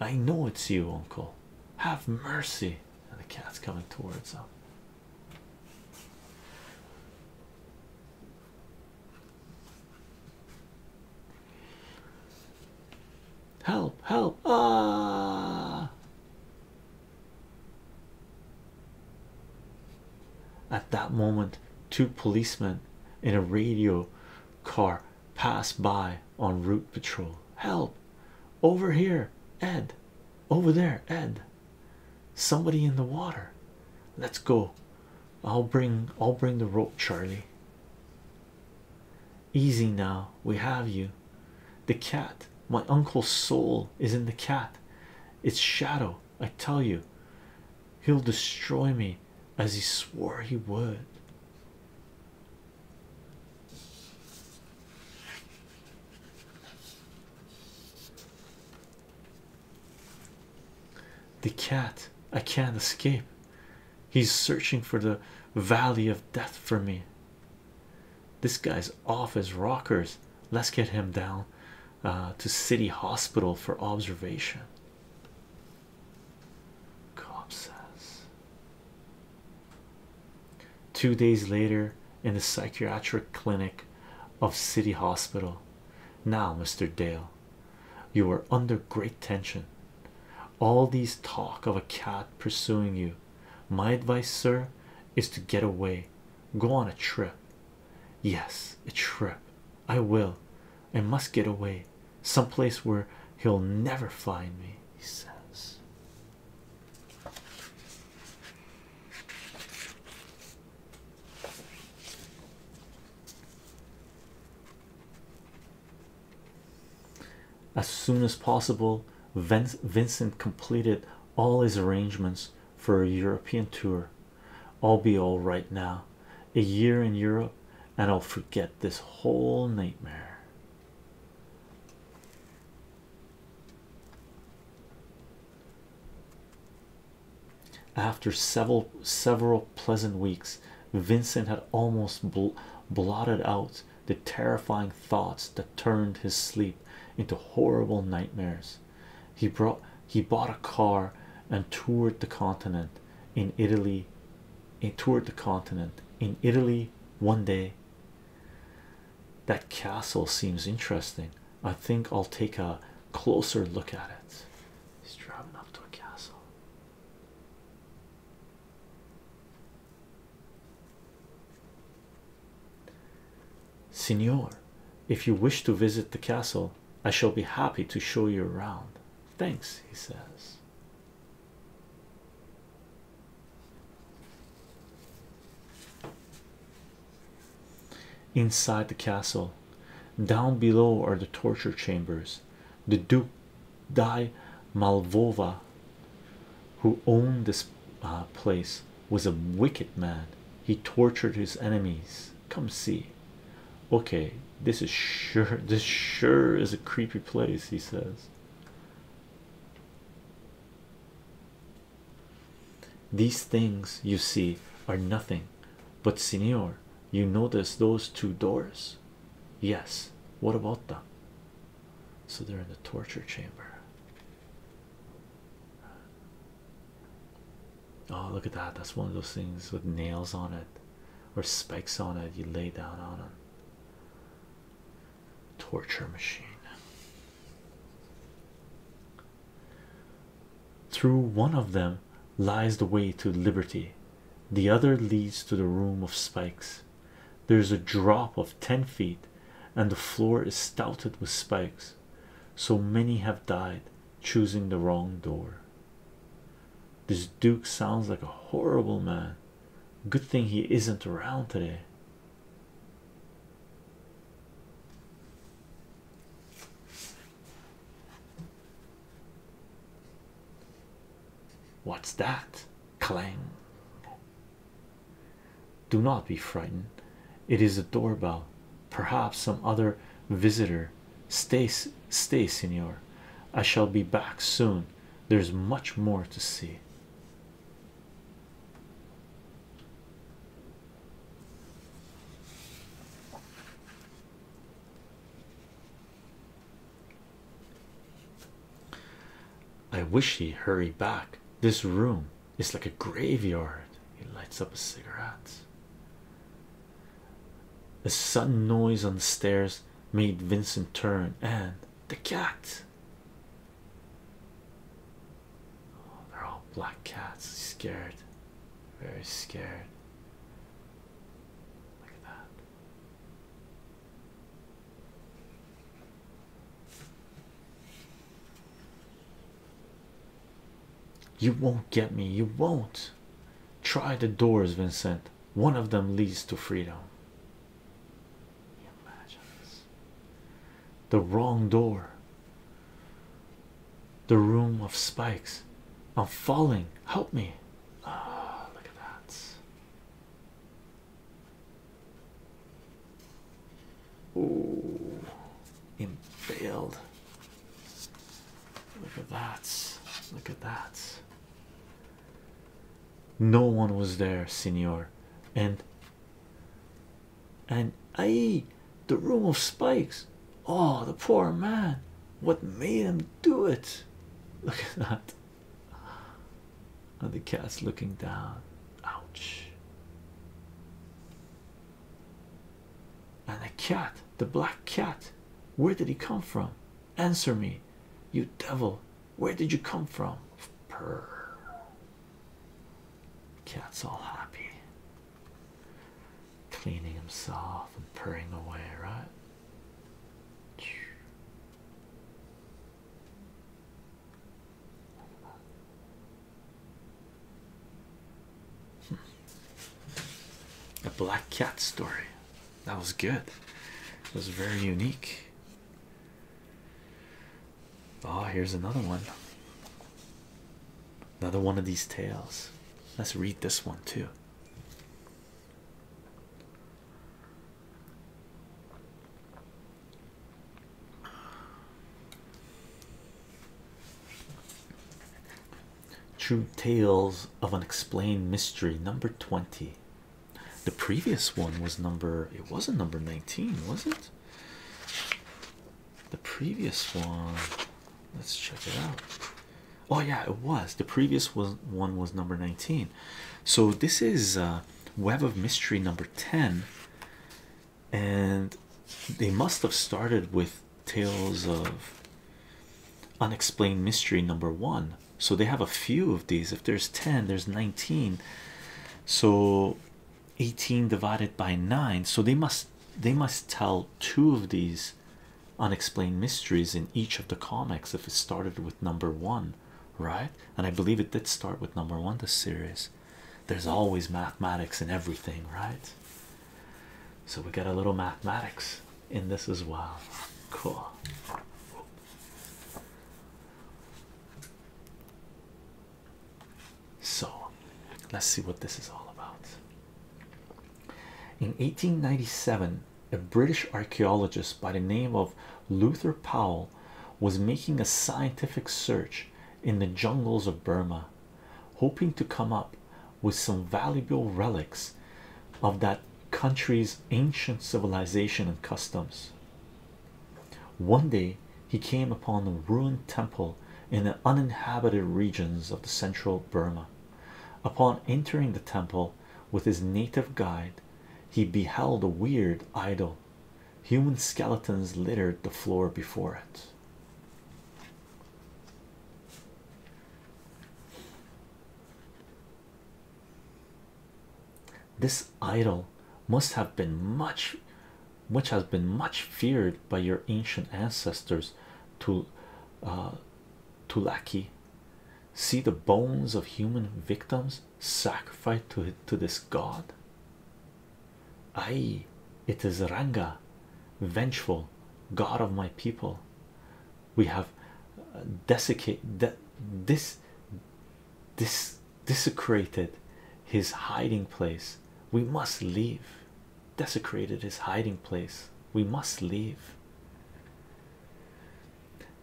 I know it's you, Uncle. Have mercy. And the cat's coming towards him. Help, help, ah. At that moment, two policemen in a radio car passed by on route patrol. Help! Over here, Ed. Over there, Ed. Somebody in the water. Let's go. I'll bring I'll bring the rope, Charlie. Easy now, we have you. The cat, my uncle's soul is in the cat. It's shadow, I tell you. He'll destroy me as he swore he would. The cat, I can't escape. He's searching for the valley of death for me. This guy's off his rockers. Let's get him down uh, to City Hospital for observation. Cop says. Two days later, in the psychiatric clinic of City Hospital. Now, Mr. Dale, you are under great tension. All these talk of a cat pursuing you. My advice, sir, is to get away go on a trip yes a trip i will i must get away Some place where he'll never find me he says as soon as possible, Vincent completed all his arrangements for a European tour. I'll be all right now. A year in Europe, and I'll forget this whole nightmare. After several several pleasant weeks, Vincent had almost blotted out the terrifying thoughts that turned his sleep into horrible nightmares. He brought he bought a car and toured the continent in Italy. He eh, toured the continent in Italy one day. That castle seems interesting. I think I'll take a closer look at it. He's driving up to a castle. Signor, if you wish to visit the castle, I shall be happy to show you around. Thanks, he says. Inside the castle, down below are the torture chambers. The Duke Di Malvova, who owned this uh, place, was a wicked man. He tortured his enemies. Come see. Okay, this is sure [laughs] this sure is a creepy place, he says. These things you see are nothing, but senor, you notice those two doors. Yes, what about them? So they're in the torture chamber. Oh, look at that. That's one of those things with nails on it or spikes on it. You lay down on it. Torture machine. Through one of them lies the way to liberty, the other leads to the room of spikes. There's a drop of ten feet, and the floor is studded with spikes. So many have died choosing the wrong door. This Duke sounds like a horrible man. Good thing he isn't around today. What's that? Clang. Do not be frightened, it is a doorbell, perhaps some other visitor. Stay, stay, senor. I shall be back soon. There's much more to see. I wish he hurried back. This room it's like a graveyard. He lights up a cigarette. A sudden noise on the stairs made Vincent turn, and the cat. Oh, they're all black cats. scared, very scared. Look at that. You won't get me, you won't. Try the doors, Vincent. One of them leads to freedom. Imagine this. The wrong door. The room of spikes. I'm falling. Help me. Ah, look at that. Ooh, impaled. Look at that. Look at that. No one was there, senor. And and I the room of spikes. Oh, the poor man. What made him do it? Look at that. And the cat's looking down. Ouch. And the cat, the black cat, where did he come from? Answer me, you devil, where did you come from? Purr. Cat's all happy, cleaning himself and purring away, right? A black cat story that was good, it was very unique. Oh, here's another one. Another one of these tales. Let's read this one too. True Tales of Unexplained Mystery, number 20. The previous one was number, it wasn't number 19, was it? The previous one, let's check it out. Oh, yeah, it was. The previous was, one was number 19. So this is uh, Web of Mystery number 10 and they must have started with tales of unexplained mystery number one so they have a few of these if there's 10 there's 19 so 18 divided by 9 so they must they must tell two of these unexplained mysteries in each of the comics if it started with number one right and i believe it did start with number one The series there's always mathematics in everything, right? So we got a little mathematics in this as well. Cool. So let's see what this is all about. In 1897, a British archaeologist by the name of Luther Powell was making a scientific search in the jungles of Burma, hoping to come up with some valuable relics of that country's ancient civilization and customs. One day he came upon a ruined temple in the uninhabited regions of the central Burma. Upon entering the temple with his native guide, he beheld a weird idol. Human skeletons littered the floor before it this. idol must have been much, much has been much feared by your ancient ancestors, to, uh, Tulaki. See the bones of human victims sacrificed to to this god. Ay, it is Ranga, vengeful god of my people. We have uh, desecrated this, this desecrated his hiding place. We must leave. Desecrated his hiding place. We must leave.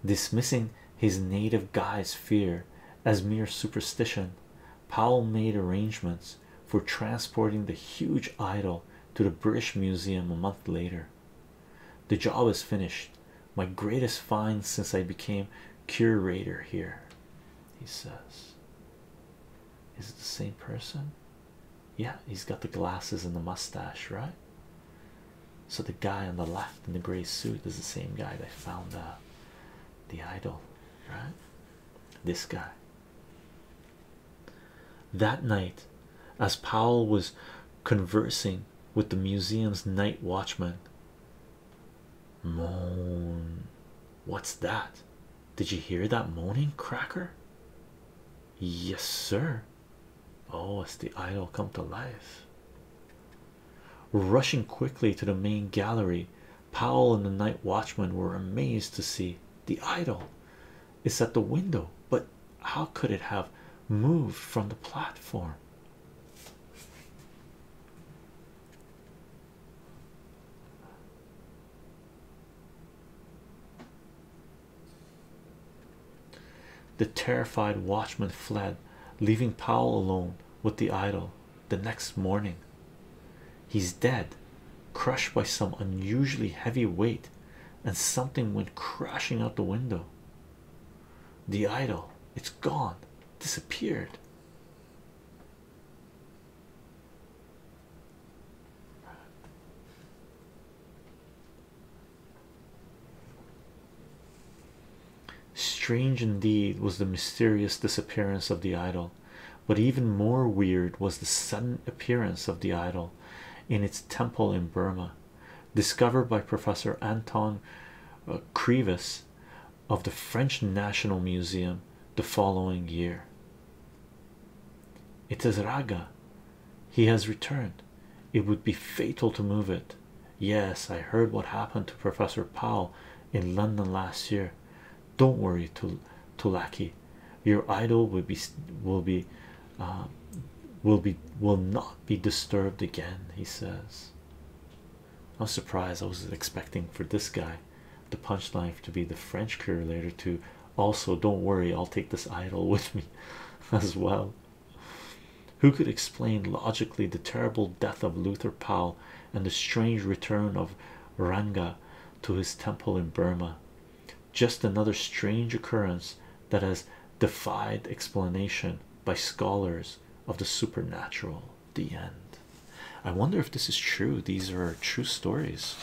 Dismissing his native guy's fear as mere superstition, Powell made arrangements for transporting the huge idol to the British Museum a month later. The job is finished, my greatest find since I became curator here. He says, Is it the same person? Yeah, he's got the glasses and the mustache, right? So the guy on the left in the gray suit is the same guy that found uh, the idol, right? This guy. That night, as Powell was conversing with the museum's night watchman, moan. What's that? Did you hear that moaning cracker? Yes, sir. Oh, it's the idol come to life. Rushing quickly to the main gallery, Powell and the night watchman were amazed to see the idol It's at the window, but how could it have moved from the platform? The terrified watchman fled, leaving Powell alone with the idol the next morning. He's dead, crushed by some unusually heavy weight, and something went crashing out the window. The idol, it's gone, disappeared. Strange indeed was the mysterious disappearance of the idol, but even more weird was the sudden appearance of the idol in its temple in Burma, discovered by Professor Anton uh, Crevis of the French National Museum the following year. It is Raga. He has returned. It would be fatal to move it. Yes, I heard what happened to Professor Powell in London last year. Don't worry, Tul Tulaki, your idol will be will be um, will be will not be disturbed again. He says. i was surprised. I was expecting for this guy, the punchline to be the French curator to also don't worry. I'll take this idol with me, [laughs] as well. Who could explain logically the terrible death of Luther Powell and the strange return of Ranga to his temple in Burma. Just another strange occurrence that has defied explanation by scholars of the supernatural. The end. I wonder if this is true. These are true stories,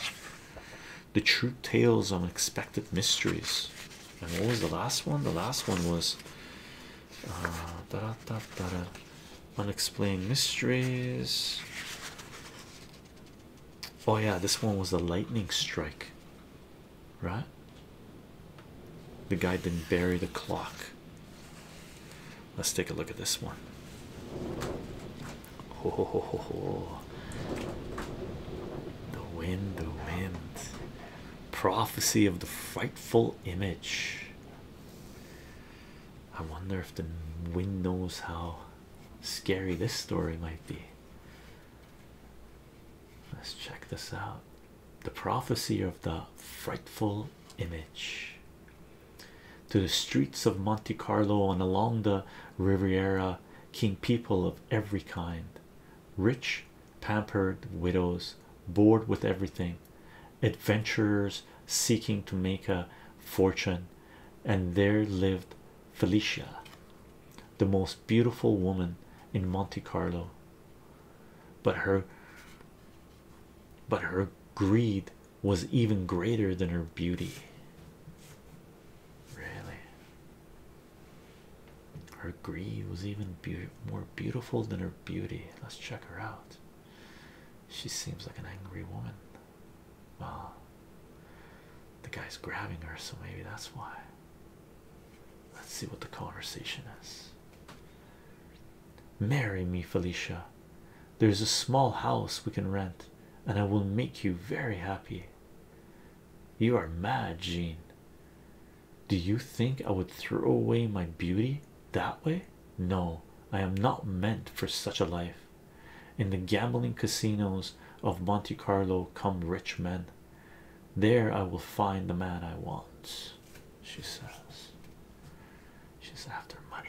the true tales of unexpected mysteries. And what was the last one? The last one was uh, unexplained mysteries. Oh, yeah, this one was a lightning strike, right? The guy didn't bury the clock. Let's take a look at this one. Ho, The wind, the wind. Prophecy of the frightful image. I wonder if the wind knows how scary this story might be. Let's check this out. The prophecy of the frightful image. To the streets of Monte Carlo and along the Riviera came people of every kind rich, pampered widows, bored with everything, adventurers seeking to make a fortune, and there lived Felicia, the most beautiful woman in Monte Carlo. But her but her greed was even greater than her beauty. Really, her greed was even more beautiful than her beauty. Let's check her out. She seems like an angry woman. Well, the guy's grabbing her, so maybe that's why. Let's see what the conversation is. Marry me, Felicia. There's a small house we can rent, and I will make you very happy. You are mad, Jean. Do you think I would throw away my beauty that way? No, I am not meant for such a life in the gambling casinos of Monte Carlo come rich men. There I will find the man I want, she says. She's after money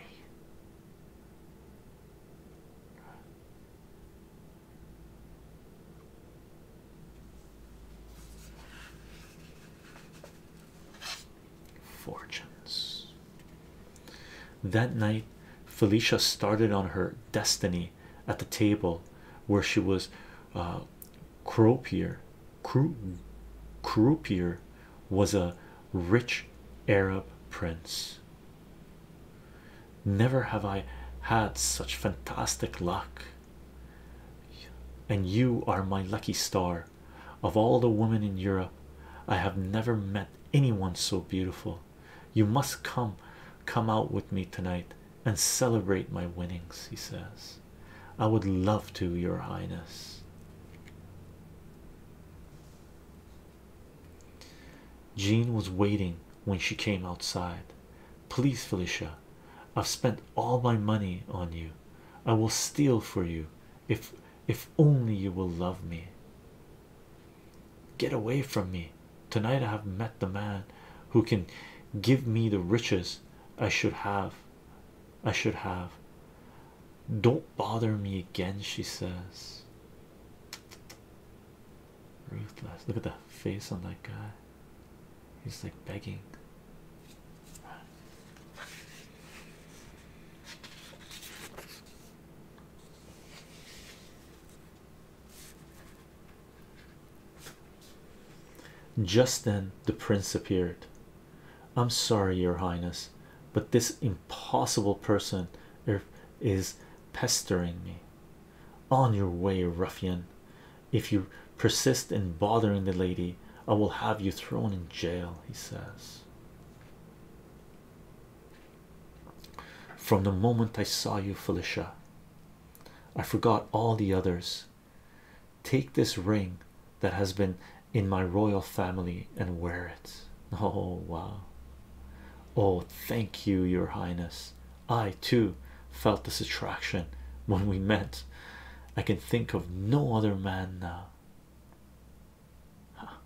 fortunes. That night, Felicia started on her destiny at the table where she was uh, croupier. croupier was a rich Arab prince. Never have I had such fantastic luck, and you are my lucky star. Of all the women in Europe, I have never met anyone so beautiful. You must come come out with me tonight and celebrate my winnings, he says. I would love to, your highness. Jean was waiting when she came outside. Please, Felicia, I've spent all my money on you. I will steal for you if if only you will love me. Get away from me. Tonight I have met the man who can give me the riches I should have. I should have. Don't bother me again, she says. Ruthless. Look at the face on that guy. He's like begging. Just then, the prince appeared. I'm sorry, Your Highness, but this impossible person er, is pestering me. On your way, ruffian. If you persist in bothering the lady, I will have you thrown in jail, he says. From the moment I saw you, Felicia, I forgot all the others. Take this ring that has been in my royal family and wear it. Oh, wow! Oh, thank you, Your Highness. I too felt this attraction when we met. I can think of no other man now. Huh.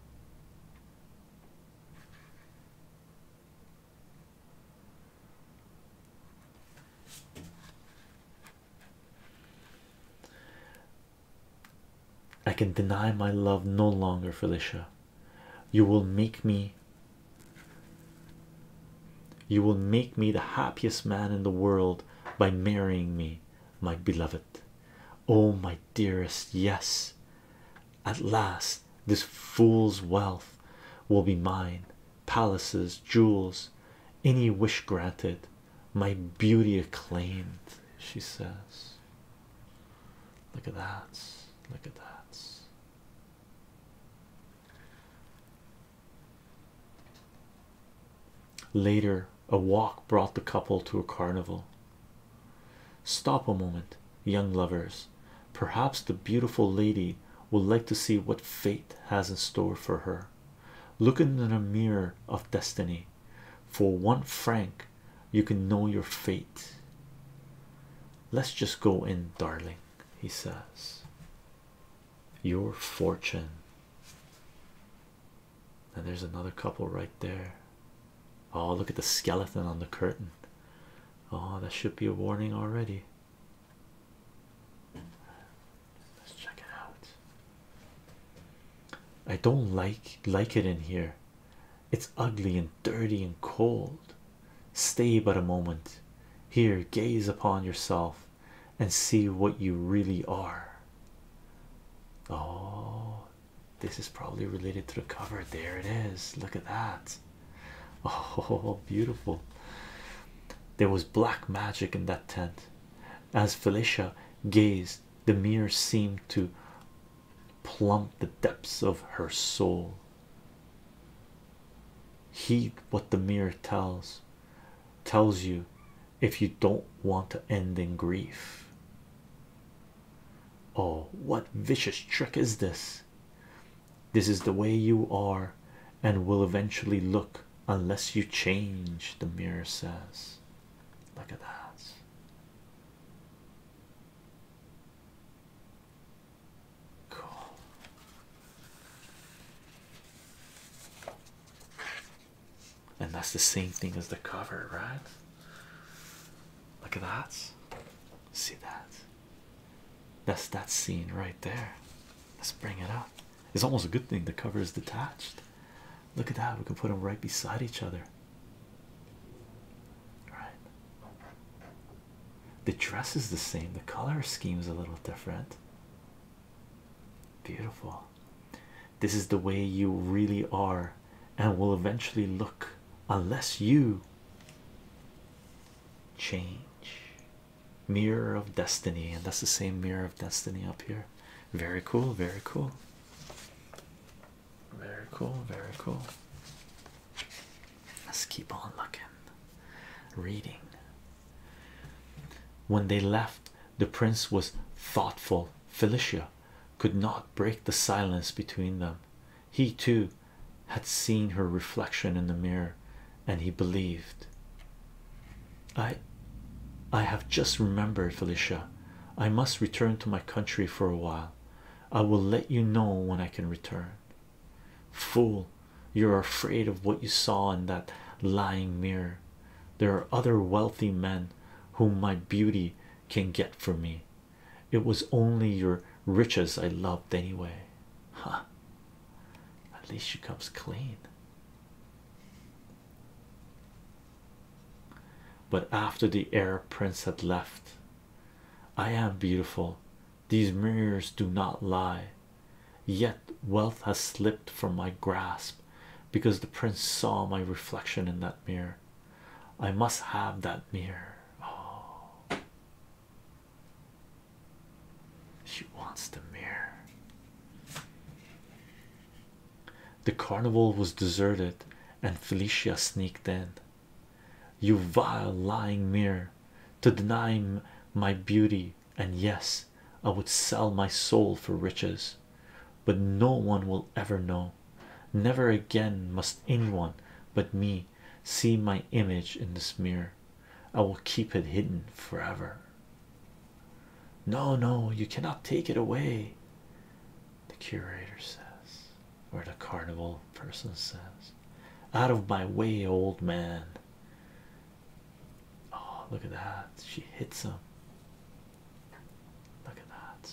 I can deny my love no longer, Felicia. You will make me. You will make me the happiest man in the world by marrying me, my beloved. Oh, my dearest, yes, at last this fool's wealth will be mine palaces, jewels, any wish granted, my beauty acclaimed. She says, Look at that, look at that. Later, a walk brought the couple to a carnival. Stop a moment, young lovers. Perhaps the beautiful lady would like to see what fate has in store for her. Look in the mirror of destiny. For one franc, you can know your fate. Let's just go in, darling, he says. Your fortune and there's another couple right there. Oh, look at the skeleton on the curtain. Oh, that should be a warning already. Let's check it out. I don't like like it in here. It's ugly and dirty and cold. Stay but a moment. Here, gaze upon yourself and see what you really are. Oh, this is probably related to the cover. There it is. Look at that. [laughs] Oh, beautiful. There was black magic in that tent. As Felicia gazed, the mirror seemed to plumb the depths of her soul. Heed what the mirror tells tells you if you don't want to end in grief. Oh, what vicious trick is this? This is the way you are, and will eventually look unless you change, the mirror says. Look at that. Cool. And that's the same thing as the cover, right? Look at that. See that? That's that scene right there. Let's bring it up. It's almost a good thing the cover is detached. Look at that. We can put them right beside each other. All right. The dress is the same. The color scheme is a little different. Beautiful. This is the way you really are and will eventually look unless you change. Mirror of Destiny, and that's the same Mirror of Destiny up here. Very cool, very cool, very cool, very cool. Let's keep on looking. Reading. When they left, the prince was thoughtful. Felicia could not break the silence between them. He too had seen her reflection in the mirror, and he believed. I I have just remembered, Felicia. I must return to my country for a while. I will let you know when I can return. Fool, you're afraid of what you saw in that lying mirror. There are other wealthy men whom my beauty can get for me. It was only your riches I loved anyway. Ha! At least she comes clean. But after the heir prince had left, I am beautiful. These mirrors do not lie. Yet wealth has slipped from my grasp because the prince saw my reflection in that mirror. I must have that mirror. Oh, she wants the mirror. The carnival was deserted, and Felicia sneaked in. You vile lying mirror, to deny my beauty, and yes, I would sell my soul for riches, but no one will ever know. Never again must anyone but me see my image in this mirror. I will keep it hidden forever. No, no, you cannot take it away. The curator says, or the carnival person says, Out of my way, old man. Oh, look at that. She hits him. Look at that.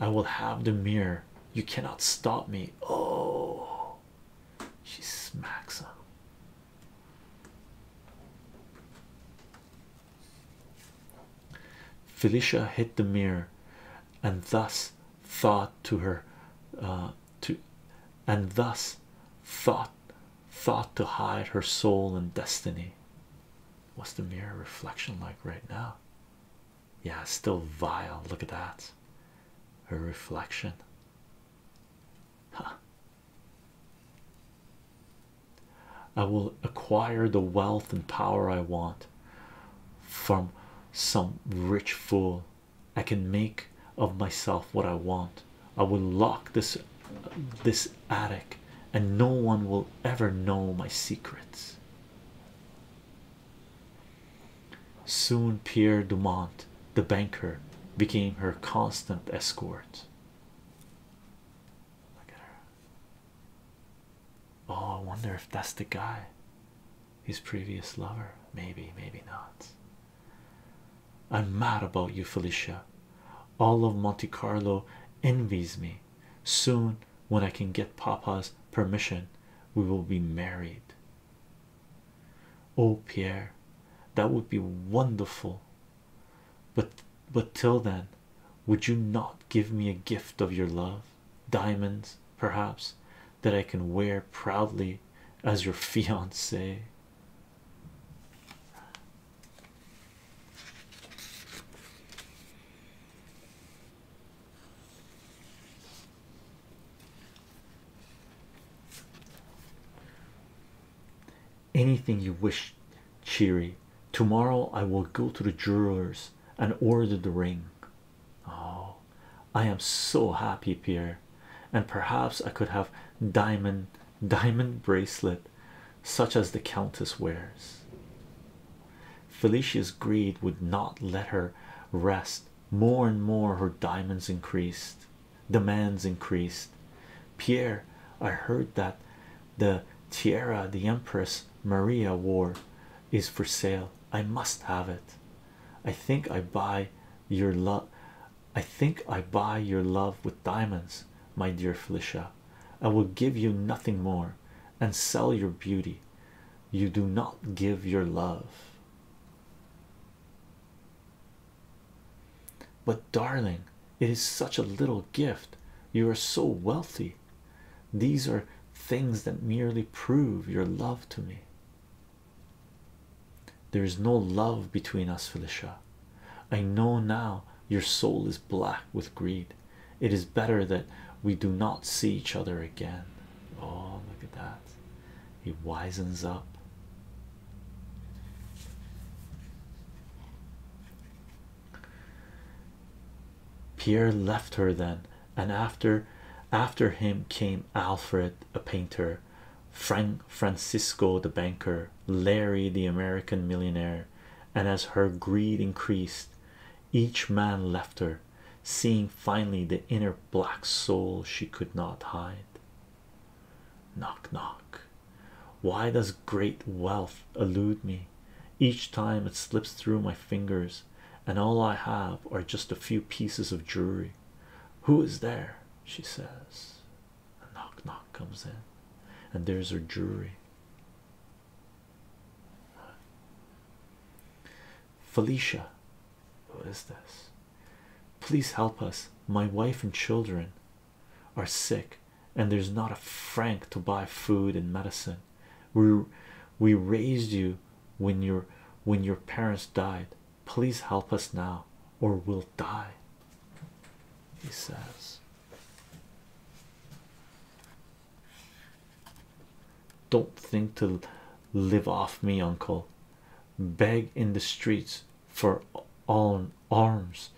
I will have the mirror. You cannot stop me. Oh, she smacks him. Felicia hid the mirror and thus thought to her uh, to and thus thought thought to hide her soul and destiny. What's the mirror reflection like right now? Yeah, still vile. Look at that. Her reflection. Huh. I will acquire the wealth and power I want from some rich fool. I can make of myself what I want. I will lock this this attic and no one will ever know my secrets. Soon, Pierre Dumont, the banker, became her constant escort. Oh, I wonder if that's the guy, his previous lover. Maybe, maybe not. I'm mad about you, Felicia. All of Monte Carlo envies me. Soon, when I can get Papa's permission, we will be married. Oh, Pierre, that would be wonderful. But but till then, would you not give me a gift of your love, diamonds, perhaps, that I can wear proudly as your fiance? Anything you wish, Cheery. Tomorrow I will go to the jewelers and order the ring. Oh, I am so happy, Pierre, and perhaps I could have diamond diamond bracelet such as the Countess wears. Felicia's greed would not let her rest. More and more, her diamonds increased, demands increased. Pierre, I heard that the tiara the Empress Maria wore is for sale. I must have it. I think I buy your love. I think I buy your love with diamonds, my dear Felicia. I will give you nothing more and sell your beauty you do not give your love. But, darling, it is such a little gift. You are so wealthy. These are things that merely prove your love to me. There is no love between us, Felicia. I know now your soul is black with greed. It is better that we do not see each other again. Oh, look at that. He wisens up. Pierre left her then, and after after him came Alfred, a painter, Frank Francisco the banker, Larry the American millionaire, and as her greed increased, each man left her seeing finally the inner black soul she could not hide. Knock, knock. Why does great wealth elude me? Each time it slips through my fingers, and all I have are just a few pieces of jewelry. Who is there? She says. A knock, knock comes in, and there's her jewelry. Felicia, who is this? Please help us. My wife and children are sick, and there's not a franc to buy food and medicine. We we raised you when your when your parents died. Please help us now, or we'll die. He says. Don't think to live off me, uncle. Beg in the streets for on arms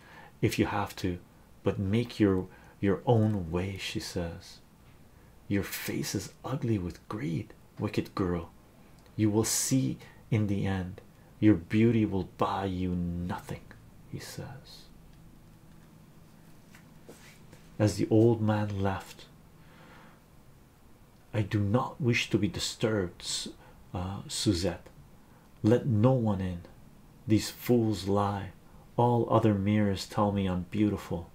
if you have to, but make your your own way, she says. Your face is ugly with greed, wicked girl. You will see in the end, your beauty will buy you nothing, he says. As the old man left, I do not wish to be disturbed, uh, Suzette. Let no one in. These fools lie. All other mirrors tell me I'm beautiful,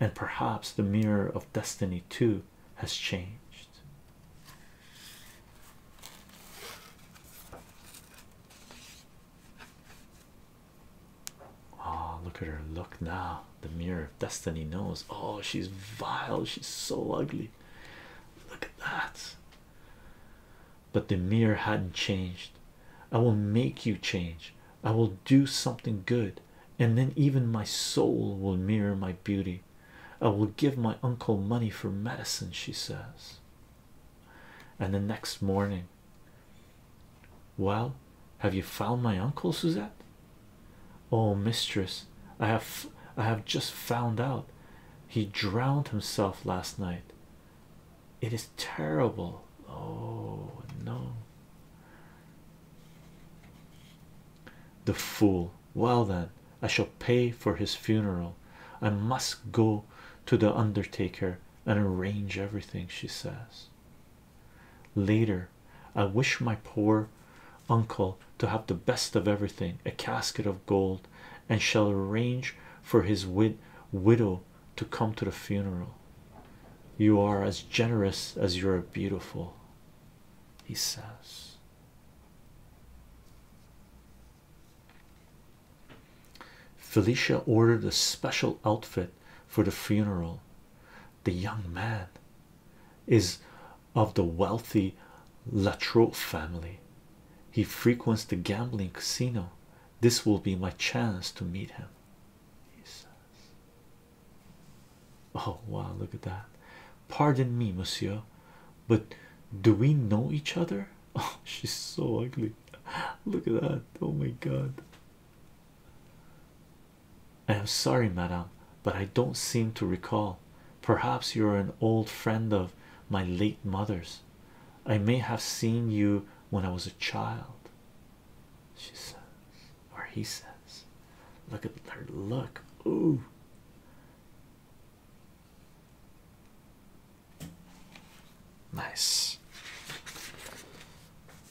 and perhaps the mirror of destiny too has changed. Oh, look at her look now. The mirror of destiny knows. Oh, she's vile, she's so ugly. Look at that. But the mirror hadn't changed. I will make you change. I will do something good, and then even my soul will mirror my beauty. I will give my uncle money for medicine, she says. And the next morning, well, have you found my uncle, Suzette? Oh, mistress, I have I have just found out he drowned himself last night. It is terrible. Oh no. The fool. Well, then, I shall pay for his funeral. I must go to the undertaker and arrange everything, she says. Later, I wish my poor uncle to have the best of everything a casket of gold, and shall arrange for his widow to come to the funeral. You are as generous as you are beautiful, he says. Felicia ordered a special outfit for the funeral the young man is of the wealthy Latrobe family. He frequents the gambling casino. This will be my chance to meet him. Oh wow, look at that. Pardon me, monsieur, but do we know each other? [laughs] Oh, she's so ugly. [laughs] Look at that. Oh my god. I am sorry, Madame, but I don't seem to recall. Perhaps you are an old friend of my late mother's. I may have seen you when I was a child. She says, or he says, Look at her look. Ooh. Nice,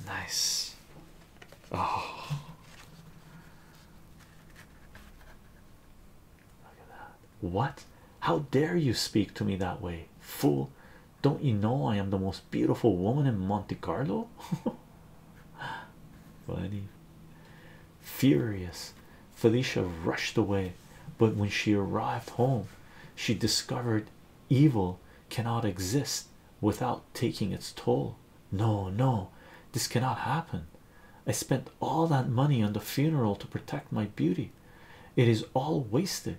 nice, Oh, look at that. What? How dare you speak to me that way, fool? Don't you know I am the most beautiful woman in Monte Carlo? [laughs] Funny, furious, Felicia rushed away, but when she arrived home, she discovered evil cannot exist without taking its toll. No, no, this cannot happen. I spent all that money on the funeral to protect my beauty. It is all wasted.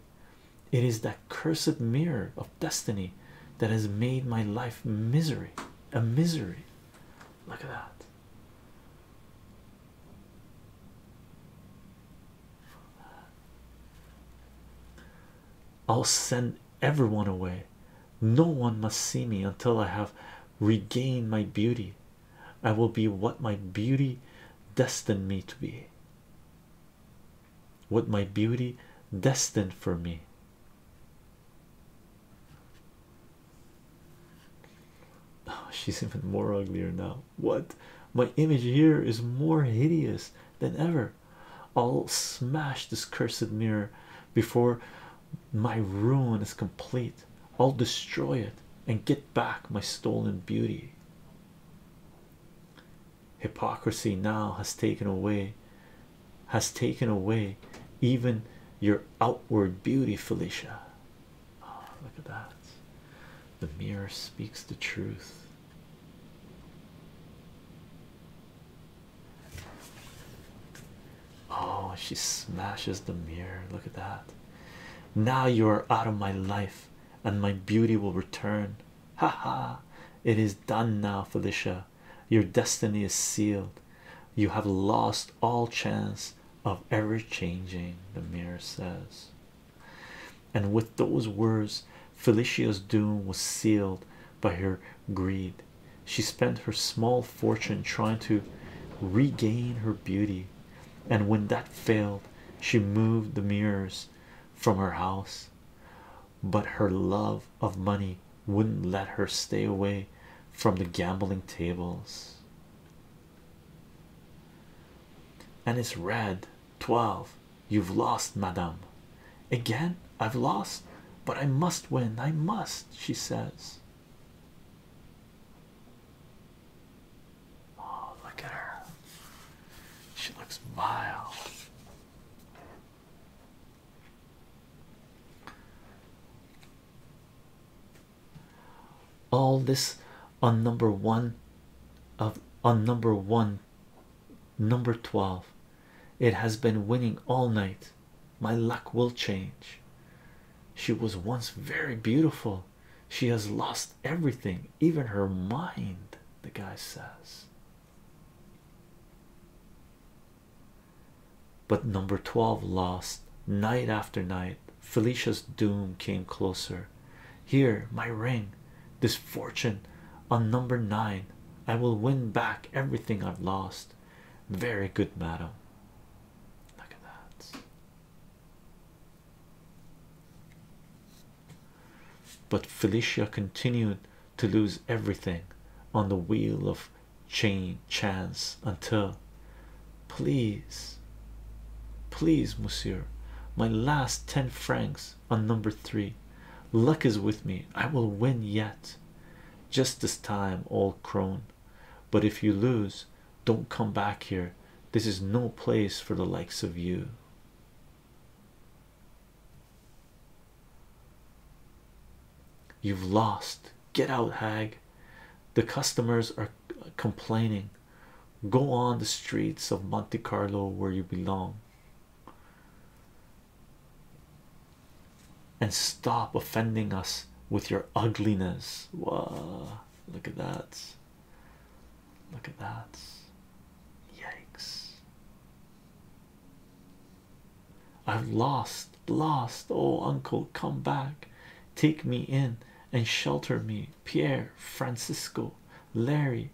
It is that cursed mirror of destiny that has made my life misery. A misery. Look at that. I'll send everyone away. No one must see me until I have regained my beauty. I will be what my beauty destined me to be. What my beauty destined for me. Oh, [laughs] she's even more uglier now. What my image here is more hideous than ever. I'll smash this cursed mirror before my ruin is complete. I'll destroy it and get back my stolen beauty. Hypocrisy now has taken away, has taken away even your outward beauty, Felicia. Ah, look at that. The mirror speaks the truth. Oh, she smashes the mirror. Look at that. Now you are out of my life, and my beauty will return. Ha ha! It is done now, Felicia. Your destiny is sealed. You have lost all chance of ever changing, the mirror says. And with those words, Felicia's doom was sealed by her greed. She spent her small fortune trying to regain her beauty, and when that failed, she moved the mirrors from her house. But her love of money wouldn't let her stay away from the gambling tables. And it's red 12 You've lost, madame. Again, I've lost, but I must win. I must, she says. Oh, look at her. She looks vile. All this on number one of on number one, number 12. It has been winning all night. My luck will change. She was once very beautiful. She has lost everything, even her mind, the guy says. But number 12 lost night after night. Felicia's doom came closer. Here, my ring this fortune on number nine. I will win back everything I've lost. Very good, madam. But Felicia continued to lose everything on the wheel of chain chance until please please monsieur my last ten francs on number three. Luck is with me. I will win yet. Just this time, old crone. But if you lose, don't come back here. This is no place for the likes of you. You've lost. Get out, hag. The customers are complaining. Go on the streets of Monte Carlo where you belong and stop offending us with your ugliness. Wow, look at that! Look at that! Yikes! I've lost, lost. Oh, uncle, come back, take me in and shelter me. Pierre, Francisco, Larry,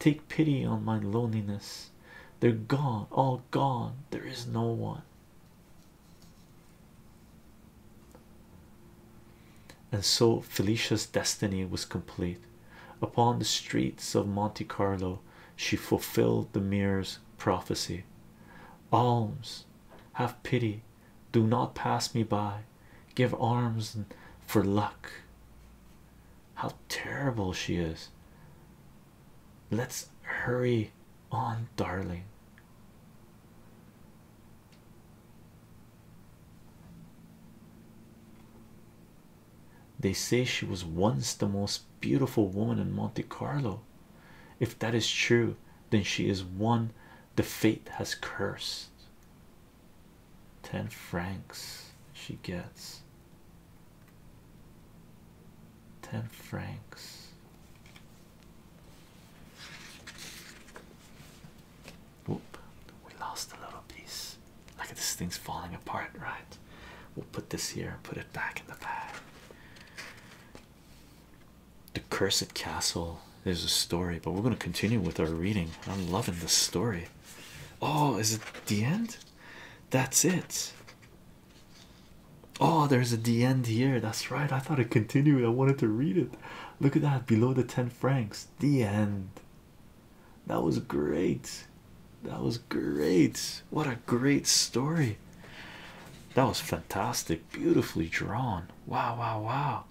Take pity on my loneliness. They're gone, all gone. There is no one. And so Felicia's destiny was complete. Upon the streets of Monte Carlo, she fulfilled the mirror's prophecy. Alms, have pity, do not pass me by, give alms for luck. How terrible she is! Let's hurry on, darling. They say she was once the most beautiful woman in Monte Carlo. If that is true, then she is one the fate has cursed. Ten francs she gets. Ten francs. Whoop, we lost a little piece. Look at this thing's falling apart, right? We'll put this here and put it back in the bag. The Cursed Castle is a story, but we're going to continue with our reading. I'm loving this story. Oh, is it the end? That's it. Oh, there's a the end here. That's right. I thought it continued. I wanted to read it. Look at that below the 10 francs. The end. That was great. That was great. What a great story. That was fantastic. Beautifully drawn. Wow, wow, wow.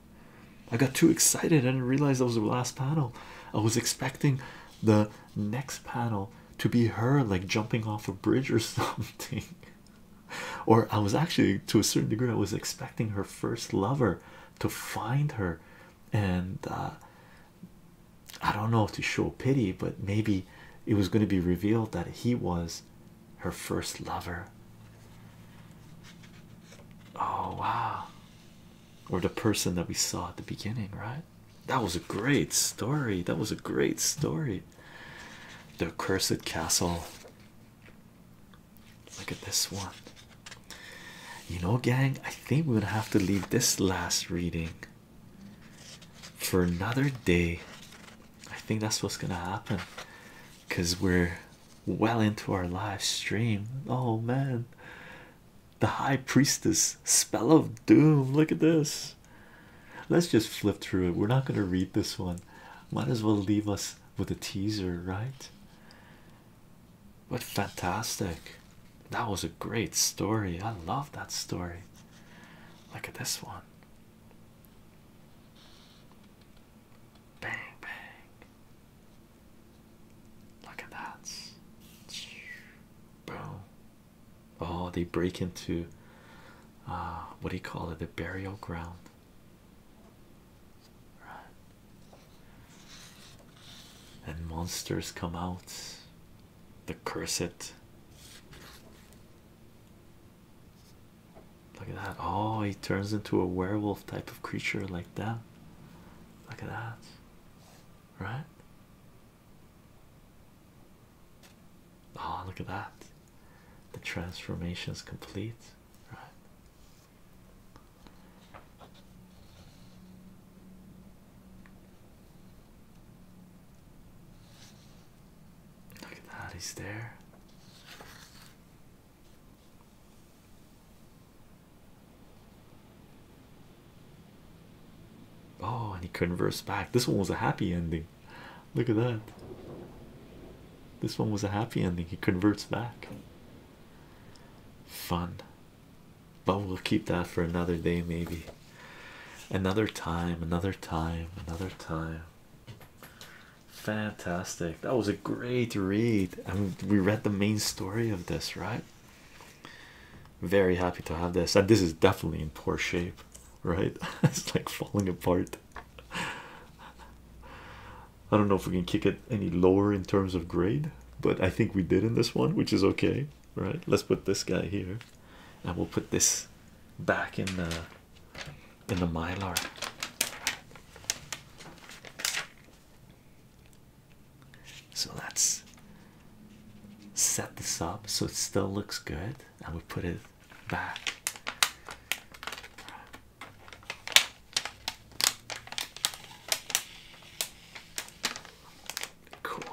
I got too excited. I didn't realize that was the last panel. I was expecting the next panel to be her like jumping off a bridge or [laughs] something. or I was actually to a certain degree I was expecting her first lover to find her and uh, I don't know to show pity, but maybe it was going to be revealed that he was her first lover. Oh wow. Or the person that we saw at the beginning, right? That was a great story. That was a great story. The Cursed Castle. Look at this one. You know, gang, I think we're gonna have to leave this last reading for another day. I think that's what's gonna happen because we're well into our live stream. Oh man, the High Priestess, Spell of Doom. Look at this. Let's just flip through it. We're not going to read this one. Might as well leave us with a teaser, right? What fantastic. That was a great story. I love that story. Look at this one. Bang, bang. Look at that. Boom. Oh, they break into uh, what do you call it? The burial ground. Right. And monsters come out. The cursed. Look at that. Oh, he turns into a werewolf type of creature like that. Look at that. Right? Ah, look at that. The transformation is complete, Look at that, he's there. Oh, and he converts back. This one was a happy ending. Look at that. This one was a happy ending. He converts back. Fun. But we'll keep that for another day, maybe. Another time, another time, another time. Fantastic. That was a great read. and we read the main story of this, right? Very happy to have this. And this is definitely in poor shape, right? [laughs] it's like falling apart. I don't know if we can kick it any lower in terms of grade, but I think we did in this one, which is okay, right? Let's put this guy here, and we'll put this back in the in the mylar. So that's set this up so it still looks good and we put it back cool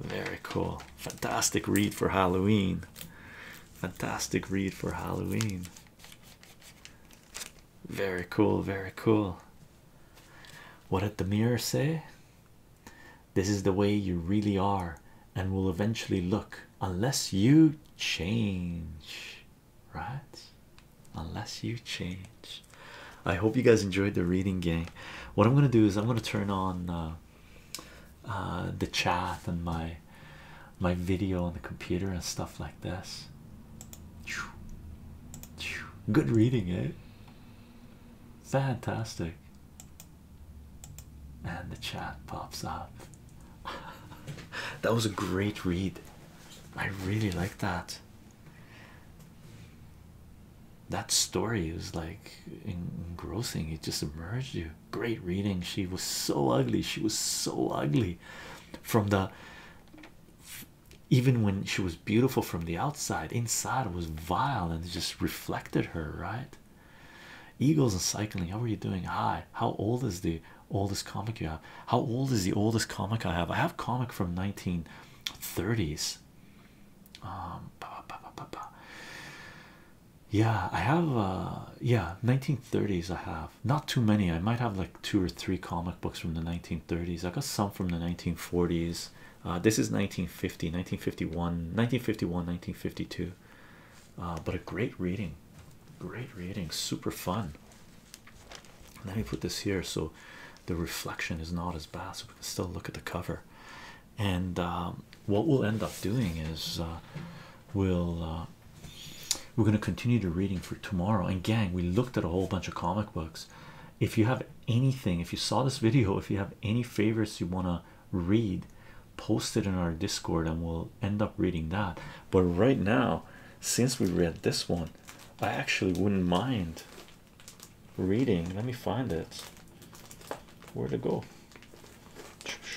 very cool fantastic read for halloween fantastic read for halloween very cool very cool what did the mirror say this is the way you really are and will eventually look unless you change, right? Unless you change. I hope you guys enjoyed the reading game. What I'm gonna do is I'm gonna turn on uh, uh, the chat and my my video on the computer and stuff like this. Good reading, eh? Fantastic and the chat pops up. [laughs] that was a great read. I really like that. That story was like engrossing, it just emerged you. Great reading. She was so ugly, she was so ugly from the even when she was beautiful from the outside, inside was vile and just reflected her, right? Eagles and cycling. How are you doing? Hi. How old is the oldest comic you have? How old is the oldest comic I have? I have comic from nineteen thirties. Um. Yeah, I have. Uh, yeah, nineteen thirties. I have not too many. I might have like two or three comic books from the nineteen thirties. I got some from the nineteen forties. Uh, this is 1950, 1951, 1951, 1952. Uh, but a great reading, great reading, super fun. Let me put this here so the reflection is not as bad, so we can still look at the cover. And um, what we'll end up doing is uh, we'll we're going to continue the reading for tomorrow. And gang, we looked at a whole bunch of comic books, if you have anything if you saw this video if you have any favorites you want to read post it in our discord and we'll end up reading that but right now since we read this one i actually wouldn't mind reading let me find it where to go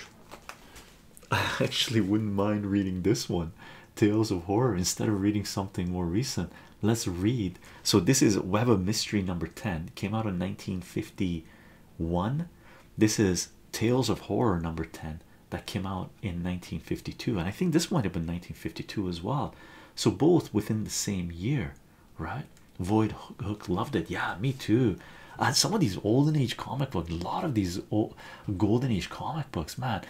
[laughs] i actually wouldn't mind reading this one tales of horror instead of reading something more recent let's read so this is web of mystery number 10 came out in 1951 this is tales of horror number 10 that came out in 1952 and i think this might have been 1952 as well so both within the same year right void hook loved it yeah me too some of these olden age comic books a lot of these old golden age comic books man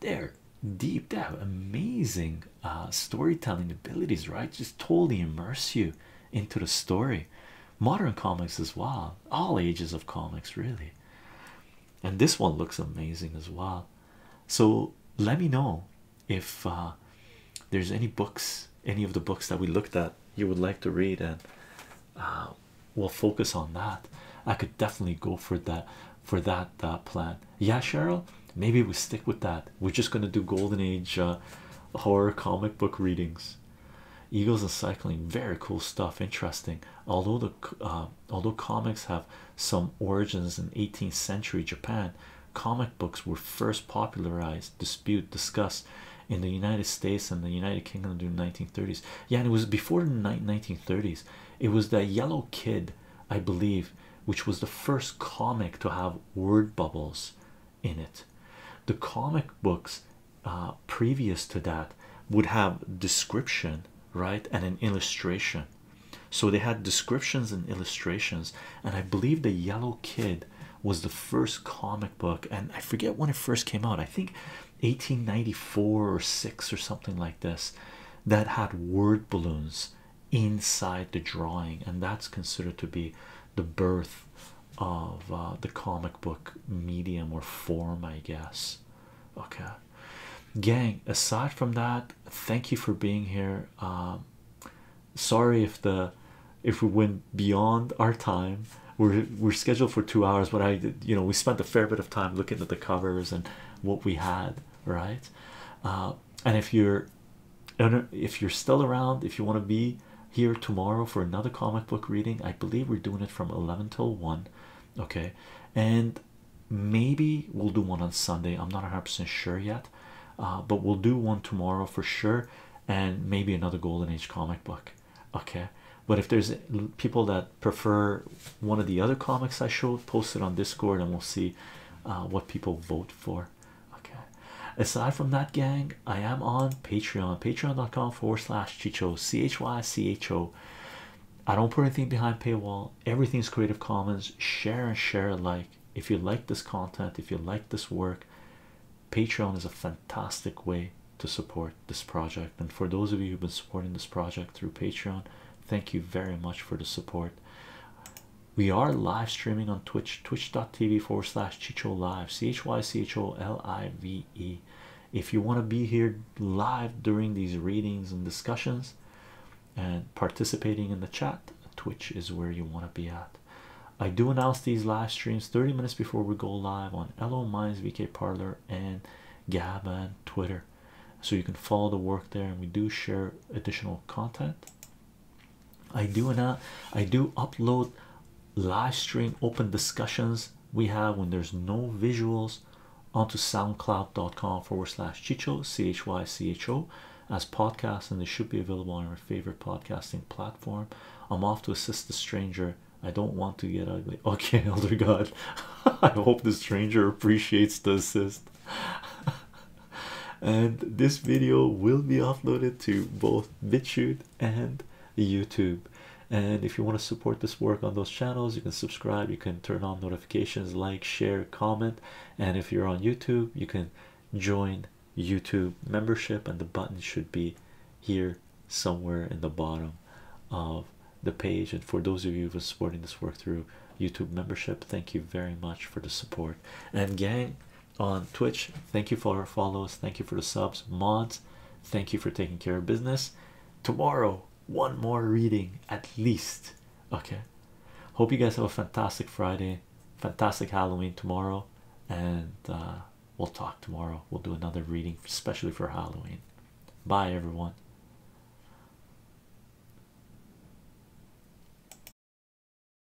they're deep they have amazing uh, storytelling abilities, right? Just totally immerse you into the story. Modern comics as well, all ages of comics, really. And this one looks amazing as well. So let me know if uh, there's any books, any of the books that we looked at, you would like to read, and uh, we'll focus on that. I could definitely go for that for that uh, plan. Yeah, Cheryl, maybe we stick with that we're just going to do golden age uh, horror comic book readings eagles and cycling very cool stuff interesting although the uh, although comics have some origins in 18th century japan comic books were first popularized dispute discussed in the united states and the united kingdom during the 1930s yeah and it was before the 1930s it was that yellow kid i believe which was the first comic to have word bubbles in it. The comic books uh, previous to that would have description, right, and an illustration. So they had descriptions and illustrations, and I believe the Yellow Kid was the first comic book, and I forget when it first came out. I think 1894 or six or something like this, that had word balloons inside the drawing, and that's considered to be the birth of uh, the comic book medium or form, I guess. Okay, gang, aside from that, thank you for being here. Um, sorry if the if we went beyond our time we're we're scheduled for two hours but i you know we spent a fair bit of time looking at the covers and what we had right uh, and if you're and uh, if you're still around if you want to be here tomorrow for another comic book reading i believe we're doing it from 11 till 1 okay and maybe we'll do one on sunday i'm not 100% sure yet uh, but we'll do one tomorrow for sure and maybe another golden age comic book okay but if there's uh, people that prefer one of the other comics i showed post it on discord and we'll see what people vote for okay aside from that gang i am on patreon patreon.com forward slash chicho c-h-y-c-h-o i don't put anything behind paywall Everything is creative commons share and share alike if you like this content if you like this work patreon is a fantastic way to support this project and for those of you who've been supporting this project through patreon thank you very much for the support we are live streaming on Twitch, twitch.tv forward slash Chicho Live, C H Y C H O L I V E. If you want to be here live during these readings and discussions and participating in the chat, Twitch is where you want to be at. I do announce these live streams 30 minutes before we go live on EloMine's VK Parlor, and Gab and Twitter. So you can follow the work there, and we do share additional content I do not uh, I do upload live stream open discussions we have when there's no visuals onto soundcloud.com forward slash chicho c h y c h o as podcast, and they should be available on your favorite podcasting platform. I'm off to assist the stranger. I don't want to get ugly. [laughs] Okay, elder god. [laughs] I hope the stranger appreciates the assist. [laughs] and this video will be uploaded to both BitChute and YouTube. And if you want to support this work on those channels, you can subscribe, you can turn on notifications, like, share, comment. And if you're on YouTube, you can join YouTube membership, and the button should be here somewhere in the bottom of the page. And for those of you who are supporting this work through YouTube membership, thank you very much for the support. And gang, on Twitch. Thank you for our follows. Thank you for the subs, mods. Thank you for taking care of business. Tomorrow, one more reading at least. Okay. Hope you guys have a fantastic Friday, fantastic Halloween tomorrow, and uh, we'll talk tomorrow. We'll do another reading, especially for Halloween. Bye, everyone.